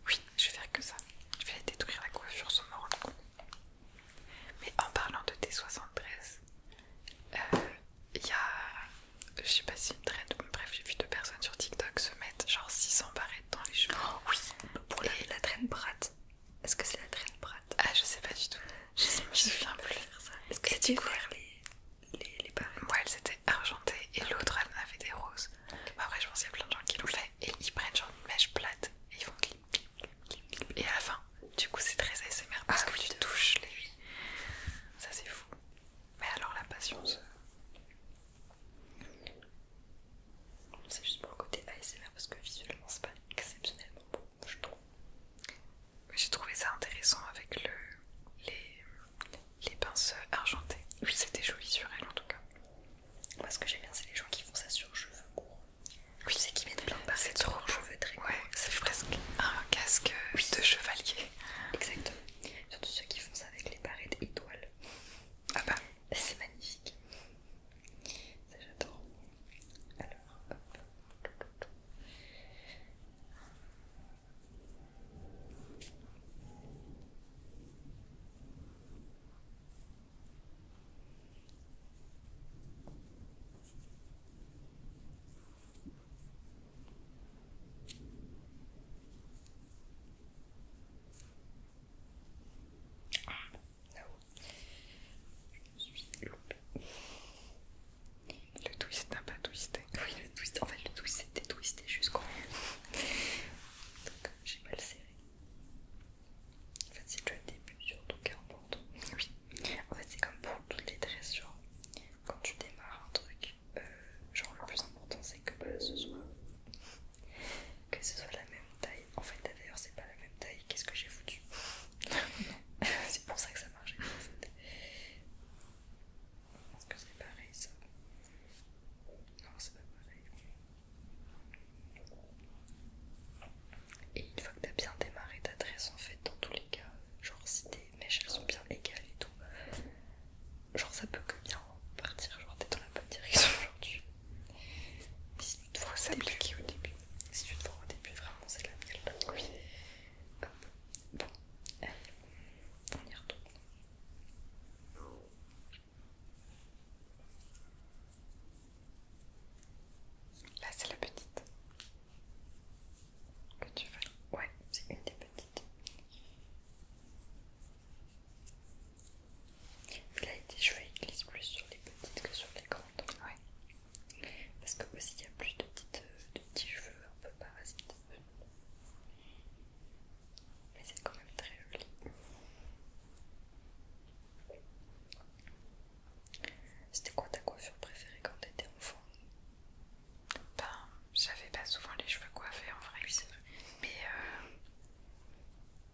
Oui, je vais faire que ça. Je vais détruire la coiffure sur mon rendre Mais en parlant de T73, euh, il y a je sais pas si une traîne... bref, j'ai vu deux personnes sur TikTok se mettre genre 600 barrettes dans les cheveux. Oh, oui, pour la, traîne bratte. Est-ce que c'est la traîne bratte Ah, je sais pas du tout. Je sais pas, de me faire ça Est-ce que c'était faire les, les, les barrettes Moi, elles étaient argentées et ah. l'autre elle en avait des roses. Bah, après, je pense qu'il y a plein de gens qui le fait et ils prennent genre une mèche plate et ils font clip, clip, clip, clip. Et à la fin, du coup, c'est très ASMR parce ah que tu touches les. Ça, c'est fou. Mais alors la patience. Euh, c'est juste pour le côté ASMR parce que visuellement c'est pas exceptionnellement beau, je trouve. J'ai trouvé ça intéressant avec le, les, les pinces argentées. Oui, c'était joli sur elle en tout cas. Moi, ce que j'aime bien, c'est les gens qui font ça sur cheveux courts. Oui, c'est qui mettent plein de pincettes sur leurs cheveux très Ouais, ça presque un casque de chevalier. Exactement. Surtout ceux qui font ça avec les barrettes étoiles. Ah bah, c'est magnifique. Ça j'adore. Alors, hop. Ah je suis loupée. Le twist n'a pas twisté. Oui, le twist, en fait, le twist c'était twisté jusqu'au Donc j'ai mal serré. En fait, c'est le début surtout qui importe. Oui, en fait, c'est comme pour toutes les genre Quand tu démarres un truc, euh, genre le plus important c'est que bah, ce soit que ce soit la même taille en fait d'ailleurs c'est pas la même taille qu'est-ce que j'ai foutu c'est pour ça que ça marchait en fait. est-ce que c'est pareil ça non c'est pas pareil et une fois que as bien démarré ta dresse en fait dans tous les cas genre si tes mèches elles sont bien égales et tout genre ça peut que bien partir, genre t'es dans la bonne direction aujourd'hui. si tu te vois au début, si tu te vois au début, vraiment c'est la mienne. Ah oui. Hop. Bon, allez, on y retourne. Là c'est la petite que tu veux. Ouais, c'est une des petites. Là, il cheveux glissent plus sur les petites que sur les grandes. Parce que aussi, il y a plus de, petites, euh, de petits cheveux un peu parasites. Mais c'est quand même très joli. C'était quoi ta coiffure préférée quand t'étais enfant ben, j'avais pas souvent les cheveux coiffés en vrai. Mais euh,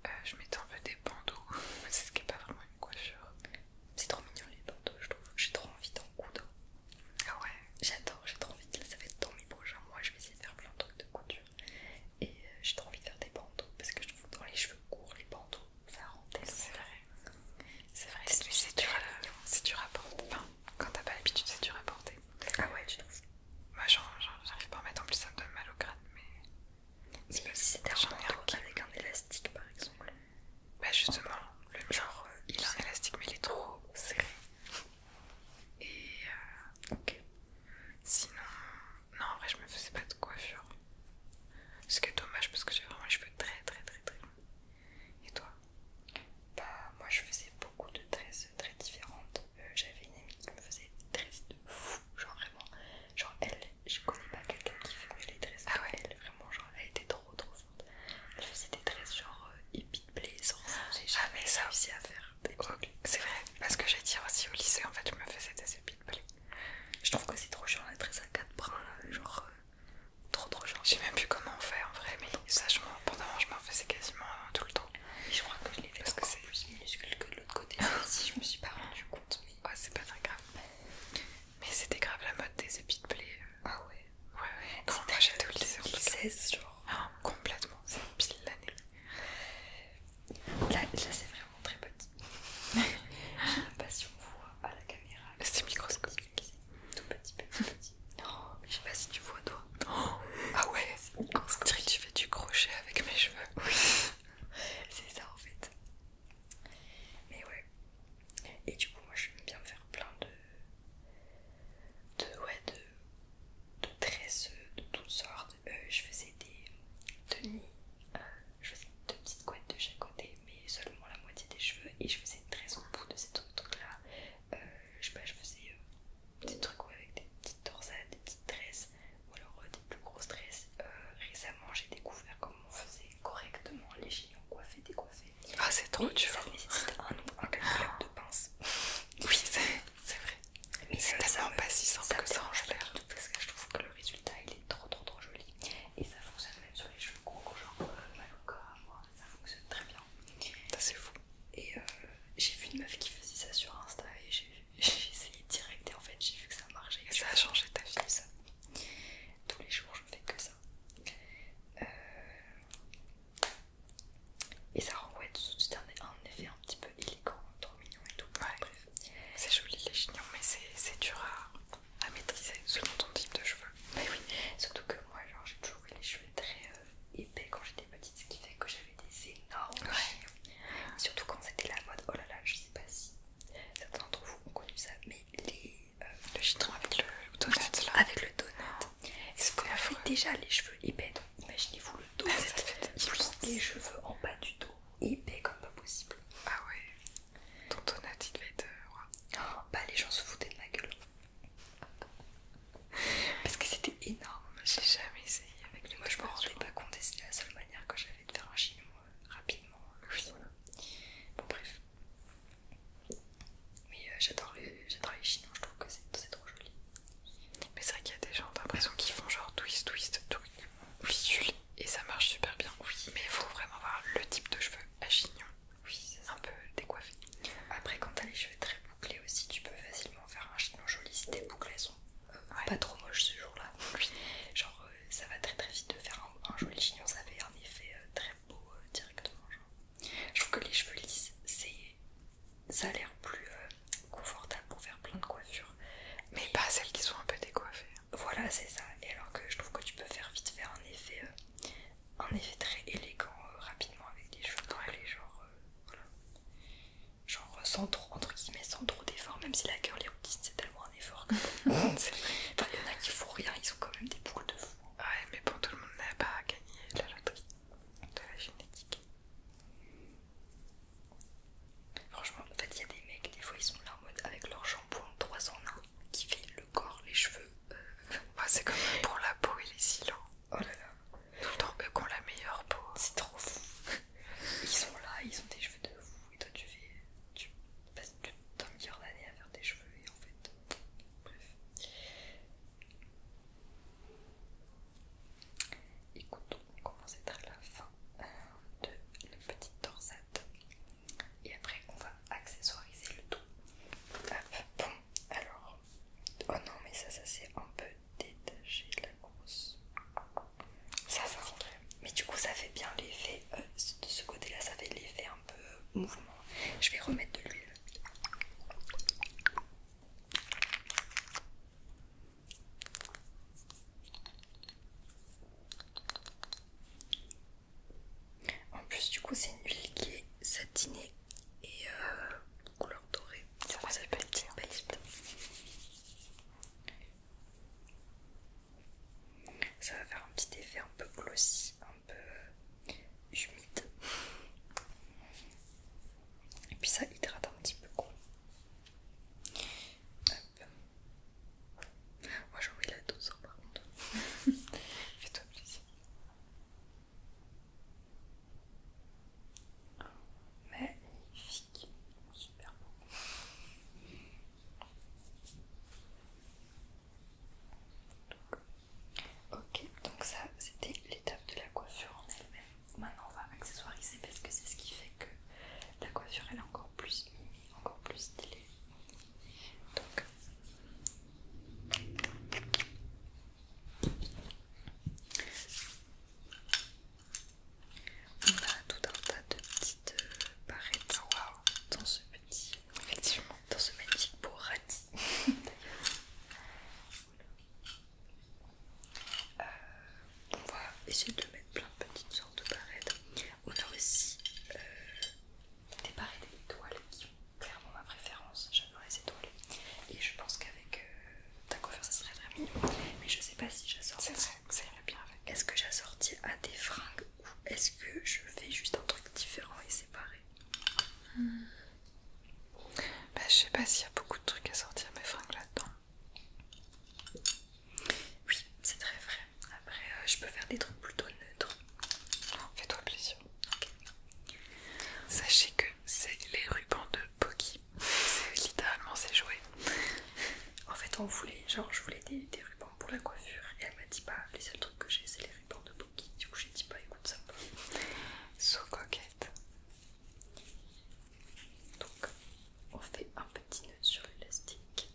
euh, je mettais un peu des bandeaux. C'est ce qui est pas vraiment une coiffure. C'est trop mignon les bandeaux, je trouve. J'ai trop envie d'en coudre. Ah ouais, j'adore, j'ai trop envie. De... Ça va être dans mes prochains Moi, Je vais essayer de faire plein de trucs de couture. Et euh, j'ai trop envie de faire des bandeaux parce que je trouve que dans les cheveux courts, les bandeaux, ça rend C'est vrai. C'est vrai, c'est dur, dur à porter. Enfin, quand t'as pas l'habitude, c'est dur à porter. Ah ouais, tu trouves moi bah, j'arrive pas à mettre en plus, ça me donne mal au crâne, mais. C'est pas si un avec un élastique par exemple. Bah justement, le Genre, euh, il a un élastique mais il est trop serré. Et. Euh, ok. Sinon. Non, en vrai, je me faisais pas de coiffure. Ce qui est dommage parce que j'ai vraiment les cheveux très très très très Et toi Bah, moi je faisais beaucoup de tresses très différentes. Euh, j'avais une amie qui me faisait tresses de fou, genre vraiment, genre elle, je connais pas quelqu'un qui mieux les tresses, ah ouais. elle, vraiment genre elle était trop trop forte, elle faisait des tresses genre hippie de play j'ai jamais réussi à faire des oh, C'est vrai, parce que j'ai dit aussi au lycée en fait je me faisais des hippie play. Je trouve que c'est trop chiant la tresse à quatre brins, genre euh, trop trop chiant. J'ai même plus comment on fait en vrai, mais moi pendant je m'en faisais quasiment tout le temps. Je crois que je l'ai fait parce que c'est plus minuscule que de l'autre côté. si je me suis pas rendu compte, mais c'est pas très grave. Mais c'était grave la mode des épis de euh. Ah ouais. Ouais ouais. Quand moi j'étais au genre. Ah, complètement, c'est pile l'année. Là, c'est vraiment très petit. je sais pas si on voit à la caméra. C'est microscopique. Tout petit, petit, petit. Oh, je sais pas si tu vois toi. Oh, ah ouais, c'est une dirait que tu fais du crochet avec mes cheveux. Oui, c'est ça en fait. Mais ouais. Et du coup, moi je j'aime bien faire plein de. De, ouais, de, de tresses de toutes sortes. Euh, je faisais des tenues, euh, je faisais deux petites couettes de chaque côté, mais seulement la moitié des cheveux. Et je faisais une tresse au bout de cette autre là. Euh, je sais pas, je faisais euh, des trucs avec des petites torsades, des petites tresses ou alors euh, des plus grosses tresses. récemment, j'ai découvert comment on faisait correctement les chignons coiffés, décoiffés. Ah, c'est trop dur! Ça nécessite un nombre de pinces. Oui, c'est vrai. Mais c'est tellement pas si simple ça que ça en Parce que je trouve que le résultat il est trop trop trop joli. Et ça fonctionne même sur les cheveux courts, genre euh, cas, moi, ça fonctionne très bien. c'est fou. Et euh, j'ai vu une meuf qui faisait ça sur Insta et j'ai essayé direct et en fait j'ai vu que ça marchait. Et ça a changé ta vie ça. Tous les jours je fais que ça. Euh, et ça renvoie tout de suite un, effet un petit peu élégant, trop mignon et tout. C'est joli les chignons mais c'est dur à, maîtriser selon ton type de cheveux. Mais oui, surtout que moi genre j'ai toujours eu les cheveux très euh, épais quand j'étais petite, ce qui fait que des énormes Surtout quand c'était la mode, oh là là, je sais pas si certains d'entre vous ont connu ça, mais les, euh, le chien avec le, donut c'est Avec le donut. Oh, déjà les cheveux épais donc imaginez-vous le donut ah, des les cheveux en bas du dos épais comme pas possible. Ah ouais. Ton donut il devait être... Euh, oh, bah les gens se foutaient de ma gueule. Parce que c'était énorme, j'ai jamais essayé avec lui. Moi je me rendais pas compte et c'était la seule manière que j'avais de faire un chignon euh, rapidement. Euh, bon, bref. Mais euh, j'adore les, chignons, je trouve que c'est trop joli. Mais c'est vrai qu'il y a des gens, l'impression qu'ils font genre twist, twist, twist, et ça marche super bien. Oui, mais il faut vraiment avoir le type de cheveux à chignon. Oui, c'est un peu décoiffé. Après, quand t'as les cheveux très bouclés aussi, tu peux facilement faire un chignon joli si tes boucles elles sont euh, pas trop moches ce jour-là. genre euh, ça va très très vite de faire un, joli chignon, ça fait un effet euh, très beau directement. Je trouve que les cheveux lisses, ça a l'air plus confortable pour faire plein de mm. coiffures. Mais, pas celles qui sont un peu décoiffées. Voilà, c'est ça. Et alors que je trouve que tu peux faire vite faire un effet, un effet très élégant rapidement avec des cheveux ouais. les genre. voilà genre sans trop, entre guillemets, sans trop d'efforts, même si la gueule les routines c'est tellement un effort C'est enfin, il y en a qui font rien, ils ont quand même des boules de fou. Hein. Ouais, mais bon, tout le monde n'a pas gagné la loterie de la génétique. Franchement, en fait, il y a des mecs, des fois ils sont là en mode avec leur shampoing 3 en 1 qui fait le corps, les cheveux. Euh, ouais, c'est comme pour la peau et les silos hein. Oh là là. Tout le temps, eux qui ont la meilleure peau. C'est trop fou. ils sont là, ils ont des cheveux de fou. Et toi, tu fais. Tu passes plus d'un milliard d'années à faire des cheveux. Et en fait. Bref. Écoute, on commence à la fin euh, de la petite torsade. Et après, on va accessoiriser le tout. bon, alors. Oh non, mais ça, ça c'est un peu détacher la grosse. Ça, ça Mais du coup, ça fait bien l'effet euh, de ce côté-là, ça fait l'effet un peu euh, mouvement. Je vais remettre de l'huile. En plus, du coup, c'est une huile qui est satinée et euh, couleur ça va, faire un petit effet un peu glossy, un peu euh, humide. Et puis ça hydrate un petit peu. Moi j'ai envie de la douceur hein, par contre. Fais-toi plaisir. Magnifique, super beau. ok, donc ça c'était l'étape de la coiffure en elle-même. Maintenant on va accessoiriser parce que c'est ce qui fait que la coiffure elle est encore plus encore plus stylée. Donc on a tout un tas de petites euh, barrettes wow. dans ce petit, effectivement, dans ce petit beau euh, on va essayer de mettre plein de petites sortes de barrettes. On a aussi euh, des barrettes et qui sont clairement ma préférence. J'adore les étoiles et je pense qu'avec ta faire ça serait très mignon mais je sais pas si j'assortis bien est-ce que j'assortis à des fringues ou est-ce que je fais juste un truc différent et séparé hmm. bah, je sais pas s'il y a beaucoup de trucs à sortir mes fringues là-dedans oui c'est très vrai après euh, je peux faire des trucs plutôt neutres fais-toi plaisir sachez que c'est les rubans de Poki. C'est littéralement c'est joué. En fait, on voulait, genre, je voulais des, rubans pour la coiffure et elle m'a dit pas. Bah, les seuls trucs que j'ai c'est les rubans de Poki. Du coup, j'ai dit pas, bah, écoute ça va. coquette. Donc, on fait un petit nœud sur l'élastique.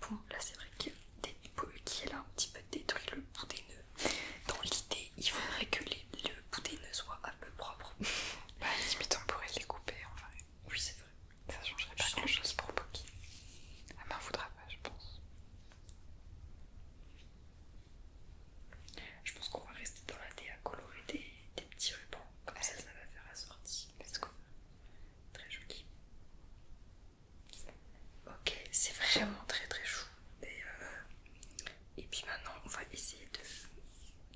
Bon, là c'est vrai que des qui est là un petit peu détruit le bout des nœuds dans l'idée, il faudrait que le boudin ne soit un peu propre. bah, limite, on pourrait les couper enfin... Oui, c'est vrai. Ça changerait pas grand chose pour Poki. Elle m'en voudra pas, je pense. Je pense qu'on va rester dans la thé à colorer des, petits rubans. Comme ça, ça va faire assorti. Let's go. Très joli. Ok, c'est vraiment très très chou. Euh, et, puis maintenant, on va essayer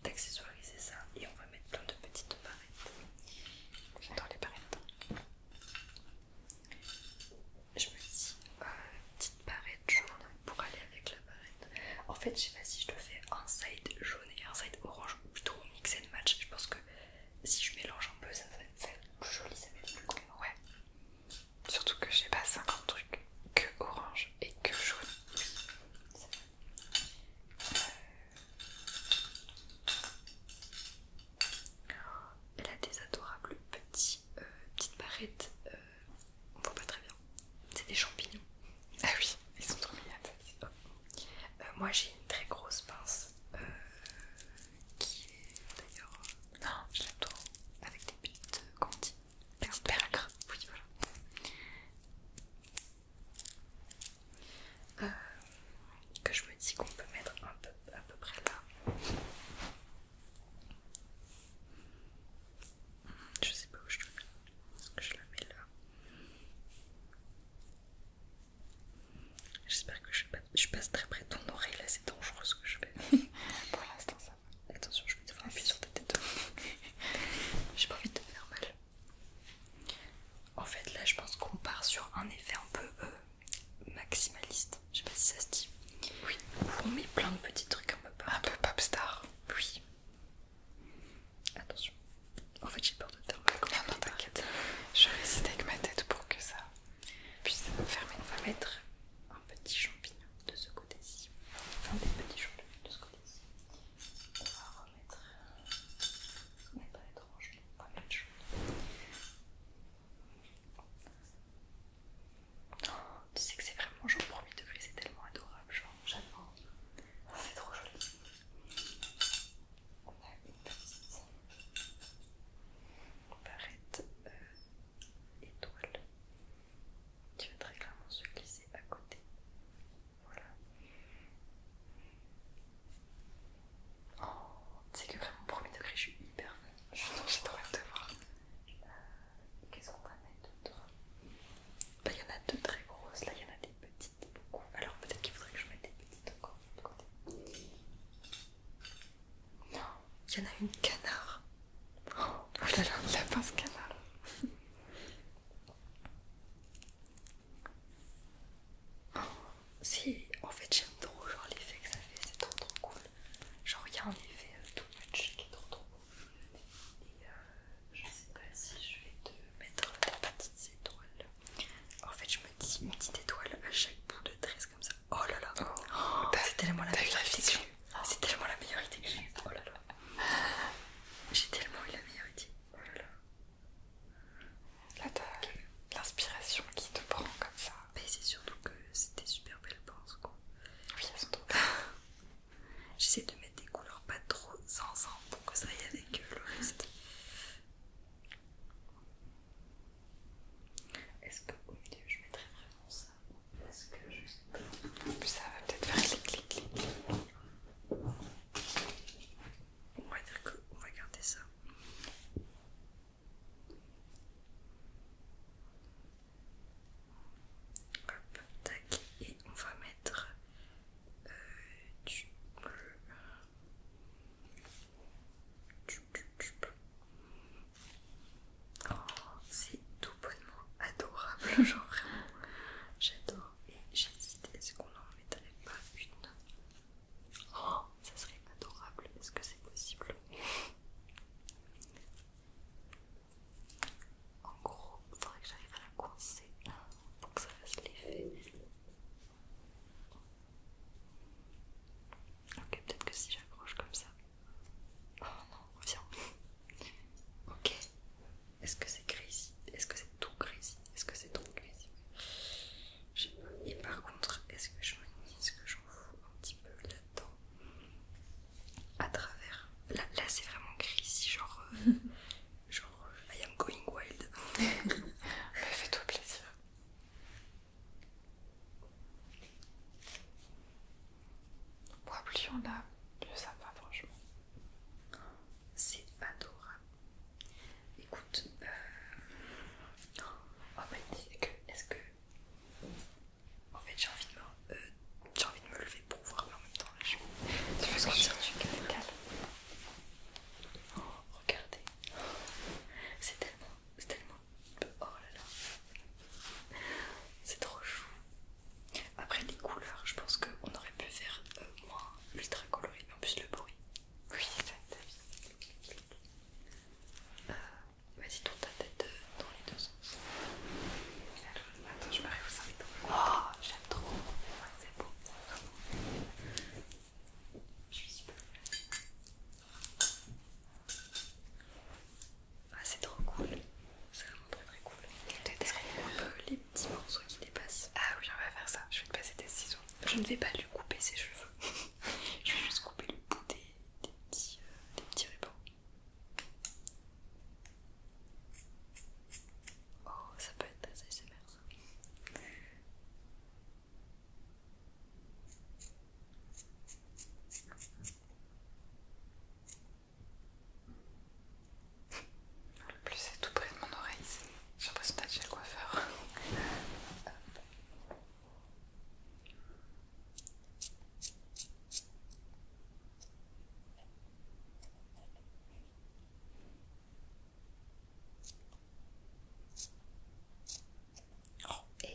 d'accessoiriser ça et on va mettre plein de petites barrettes. J'adore les barrettes. Je me dis, euh, petite barrette jaune pour aller avec la barrette. En fait, je sais pas si je le fais un side jaune et un side orange ou plutôt mix and match. Je pense que si je mélange un peu, ça va être plus joli, ça va être plus cool. Ouais. Surtout que j'ai pas 50 trucs que orange et que jaune. Euh, elle a des adorables petits, euh, petites barrettes. Euh, on voit pas très bien. C'est des champignons. Ah oui, ils sont trop mignons. moi j'ai une très grosse pince qui est d'ailleurs. Non, je Avec des petites quand il dit Oui, voilà. Euh, que je me dis qu'on peut mettre à peu près là. Je sais pas où je la mets. Je la mets là. J'espère que je, je passe très près de ton oreille là, c'est dangereux ce que je fais. Pour l'instant, Attention, je vais faire un appuyer sur ta tête. J'ai pas envie de te faire mal. En fait, là, je pense qu'on part sur un effet un peu euh, maximaliste. Je sais pas si ça se dit. Oui. On met plein de petits trucs un peu pop. Un peu pop star. Oui. Attention. En fait, j'ai peur de te faire mal. Ah non, t'inquiète. Je vais essayer avec ma tête pour que ça puisse fermer. une va un petit champignon de ce côté-ci, un des petits champignons de ce côté-ci. On va remettre, euh, ce n'est pas étrange, on va de oh, Tu sais que c'est vraiment genre premier degré, c'est tellement adorable, genre j'adore, c'est trop joli. On a une petite barrette euh, étoile qui va très clairement se glisser à côté. Voilà. Oh, c'est que vraiment, premier degré, je suis hyper fan. J'ai trop hâte de voir. Euh, qu'est-ce qu'on va mettre d'autre bah, Il y en a deux très grosses, là il y en a des petites, beaucoup. Alors peut-être qu'il faudrait que je mette des petites encore de côté. Non, Il y en a une canard. Oh, là là a pas pince canard. Oh, si, en fait j'aime trop l'effet que ça fait, c'est trop trop cool. Genre il y a un effet tout euh, tout match qui est trop trop cool. Et euh, je sais pas si je vais te mettre des petites étoiles. En fait je me dis une petite étoile à chaque bout de tresse comme ça. Oh là là, oh, c'est tellement la meilleure idée. C'est tellement la meilleure idée que j'ai. Oh là là, j'ai tellement eu la meilleure idée. Oh là t'as l'inspiration qui te prend comme ça. Mais c'est surtout que c'était super belle pense quoi. Oui, J'essaie de mettre des couleurs pas trop ensemble pour que ça aille avec euh, le reste. Est-ce que au milieu je mettrais vraiment ça est-ce que je... Ça va peut-être faire clic clic clic. On va dire que on va garder ça. Hop, tac, et on va mettre euh, du bleu. du bleu. Oh, c'est tout bonnement adorable, genre vraiment. J'adore et j'hésite. Est-ce qu'on en mettrait pas une Oh, ça serait adorable. Est-ce que c'est possible En gros, il faudrait que j'arrive à la coincer pour que ça fasse l'effet. Ok, peut-être que si j'accroche comme ça. Oh non, viens. ok. Est-ce que c'est crazy Est-ce que c'est tout crazy Est-ce que c'est trop crazy Je sais pas. Et par contre, est-ce que je me ce que j'en fous un petit peu là-dedans À travers. Là, c'est vraiment crazy, genre. Euh, genre, euh, I am going wild. fais-toi plaisir. Moi, plus on a, plus ça va, franchement. C'est adorable. Écoute, euh, oh, est-ce que. En fait, j'ai envie, de me... Euh, j'ai envie de me lever pour voir, mais en même temps, la je. Tu veux sentir du calme oh, regardez. C'est tellement, tellement Oh là là, c'est trop chou. Après les couleurs, je pense qu'on aurait pu faire euh, moins ultra coloré, mais en plus le bruit. Oui, ta vie. Euh, vas-y, tourne ta tête euh, dans les deux sens. Attends, je m'arrête au Oh, j'aime trop. c'est beau. Je suis super. Ah, c'est trop cool! C'est vraiment très très cool. Peut-être les petits morceaux qui dépassent. Ah oui, on va faire ça. Je vais te passer des ciseaux. Je ne vais pas lui couper ses cheveux. Je vais juste couper le bout des, petits, des petits euh, Oh, ça peut être assez ASMR ça. Le plus c'est tout près de mon oreille ici. J'ai l'impression d'être chez le coiffeur. Oh,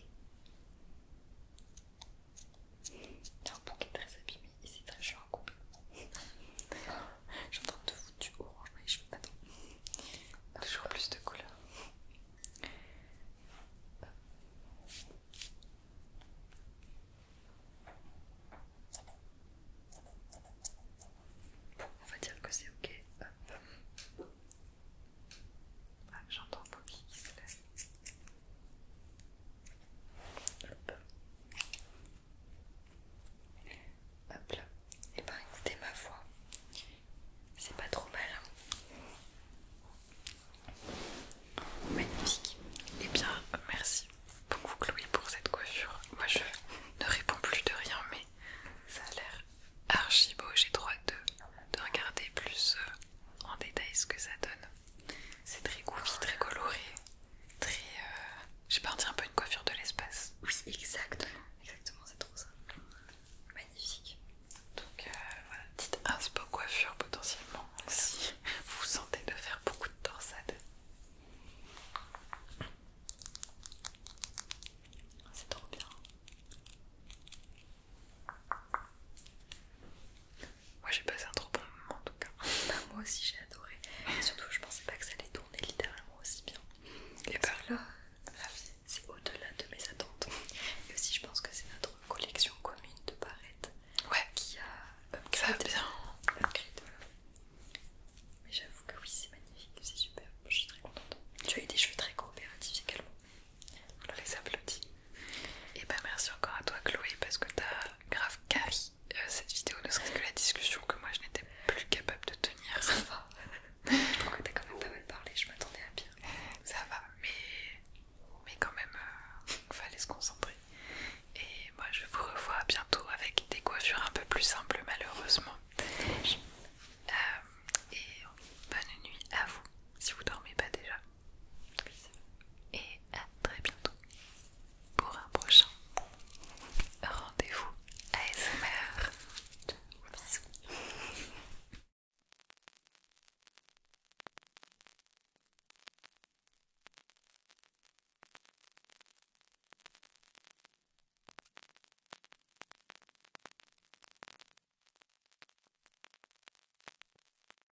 il y a un est très abîmé et c'est très chaud en couple. J'entends de vous du orange, mais je veux pas non. Toujours plus de couleurs. Bon, on va dire que c'est ok. Ah, j'entends Poki qui se lève. Hop. là. Et eh bien, écoutez ma voix. C'est pas trop mal. Hein. Magnifique. Et eh bien merci beaucoup Chloé pour cette coiffure. Moi je ne réponds plus de rien mais ça a l'air archi beau. J'ai droit de, de regarder plus euh, en détail ce que ça donne. C'est très goofy, très coloré, très. Euh... J'ai parti un peu une coiffure de l'espace. Oui, exactement. Exactement, c'est trop ça. Magnifique. Donc euh, voilà, petite inspo coiffure potentiellement si vous sentez de faire beaucoup de torsades. C'est trop bien. Moi j'ai passé un trop bon moment en tout cas. Moi aussi j'ai adoré. Et surtout je pensais pas que ça allait tourner littéralement aussi bien. Et par bah. là, c'est au-delà de mes attentes. Et aussi je pense que c'est notre collection commune de barrettes ouais. qui a Ça va bien. Mais j'avoue que oui c'est magnifique, c'est super, je suis très contente. Tu as eu des cheveux très coopératifs également. On les applaudit. Et ben merci encore à toi Chloé parce que t'as grave carry euh, cette vidéo, ne serait-ce que la discussion que moi je n'étais plus capable de tenir. Ça va. je crois que quand même pas mal parlé, je m'attendais à pire. Ça va, mais, mais quand même, euh, fallait se concentrer. Et moi je vous revois bientôt avec des coiffures un peu plus simples malheureusement. Euh, et bonne nuit à vous si vous dormez pas déjà. Et à très bientôt pour un prochain rendez-vous ASMR. Bisous.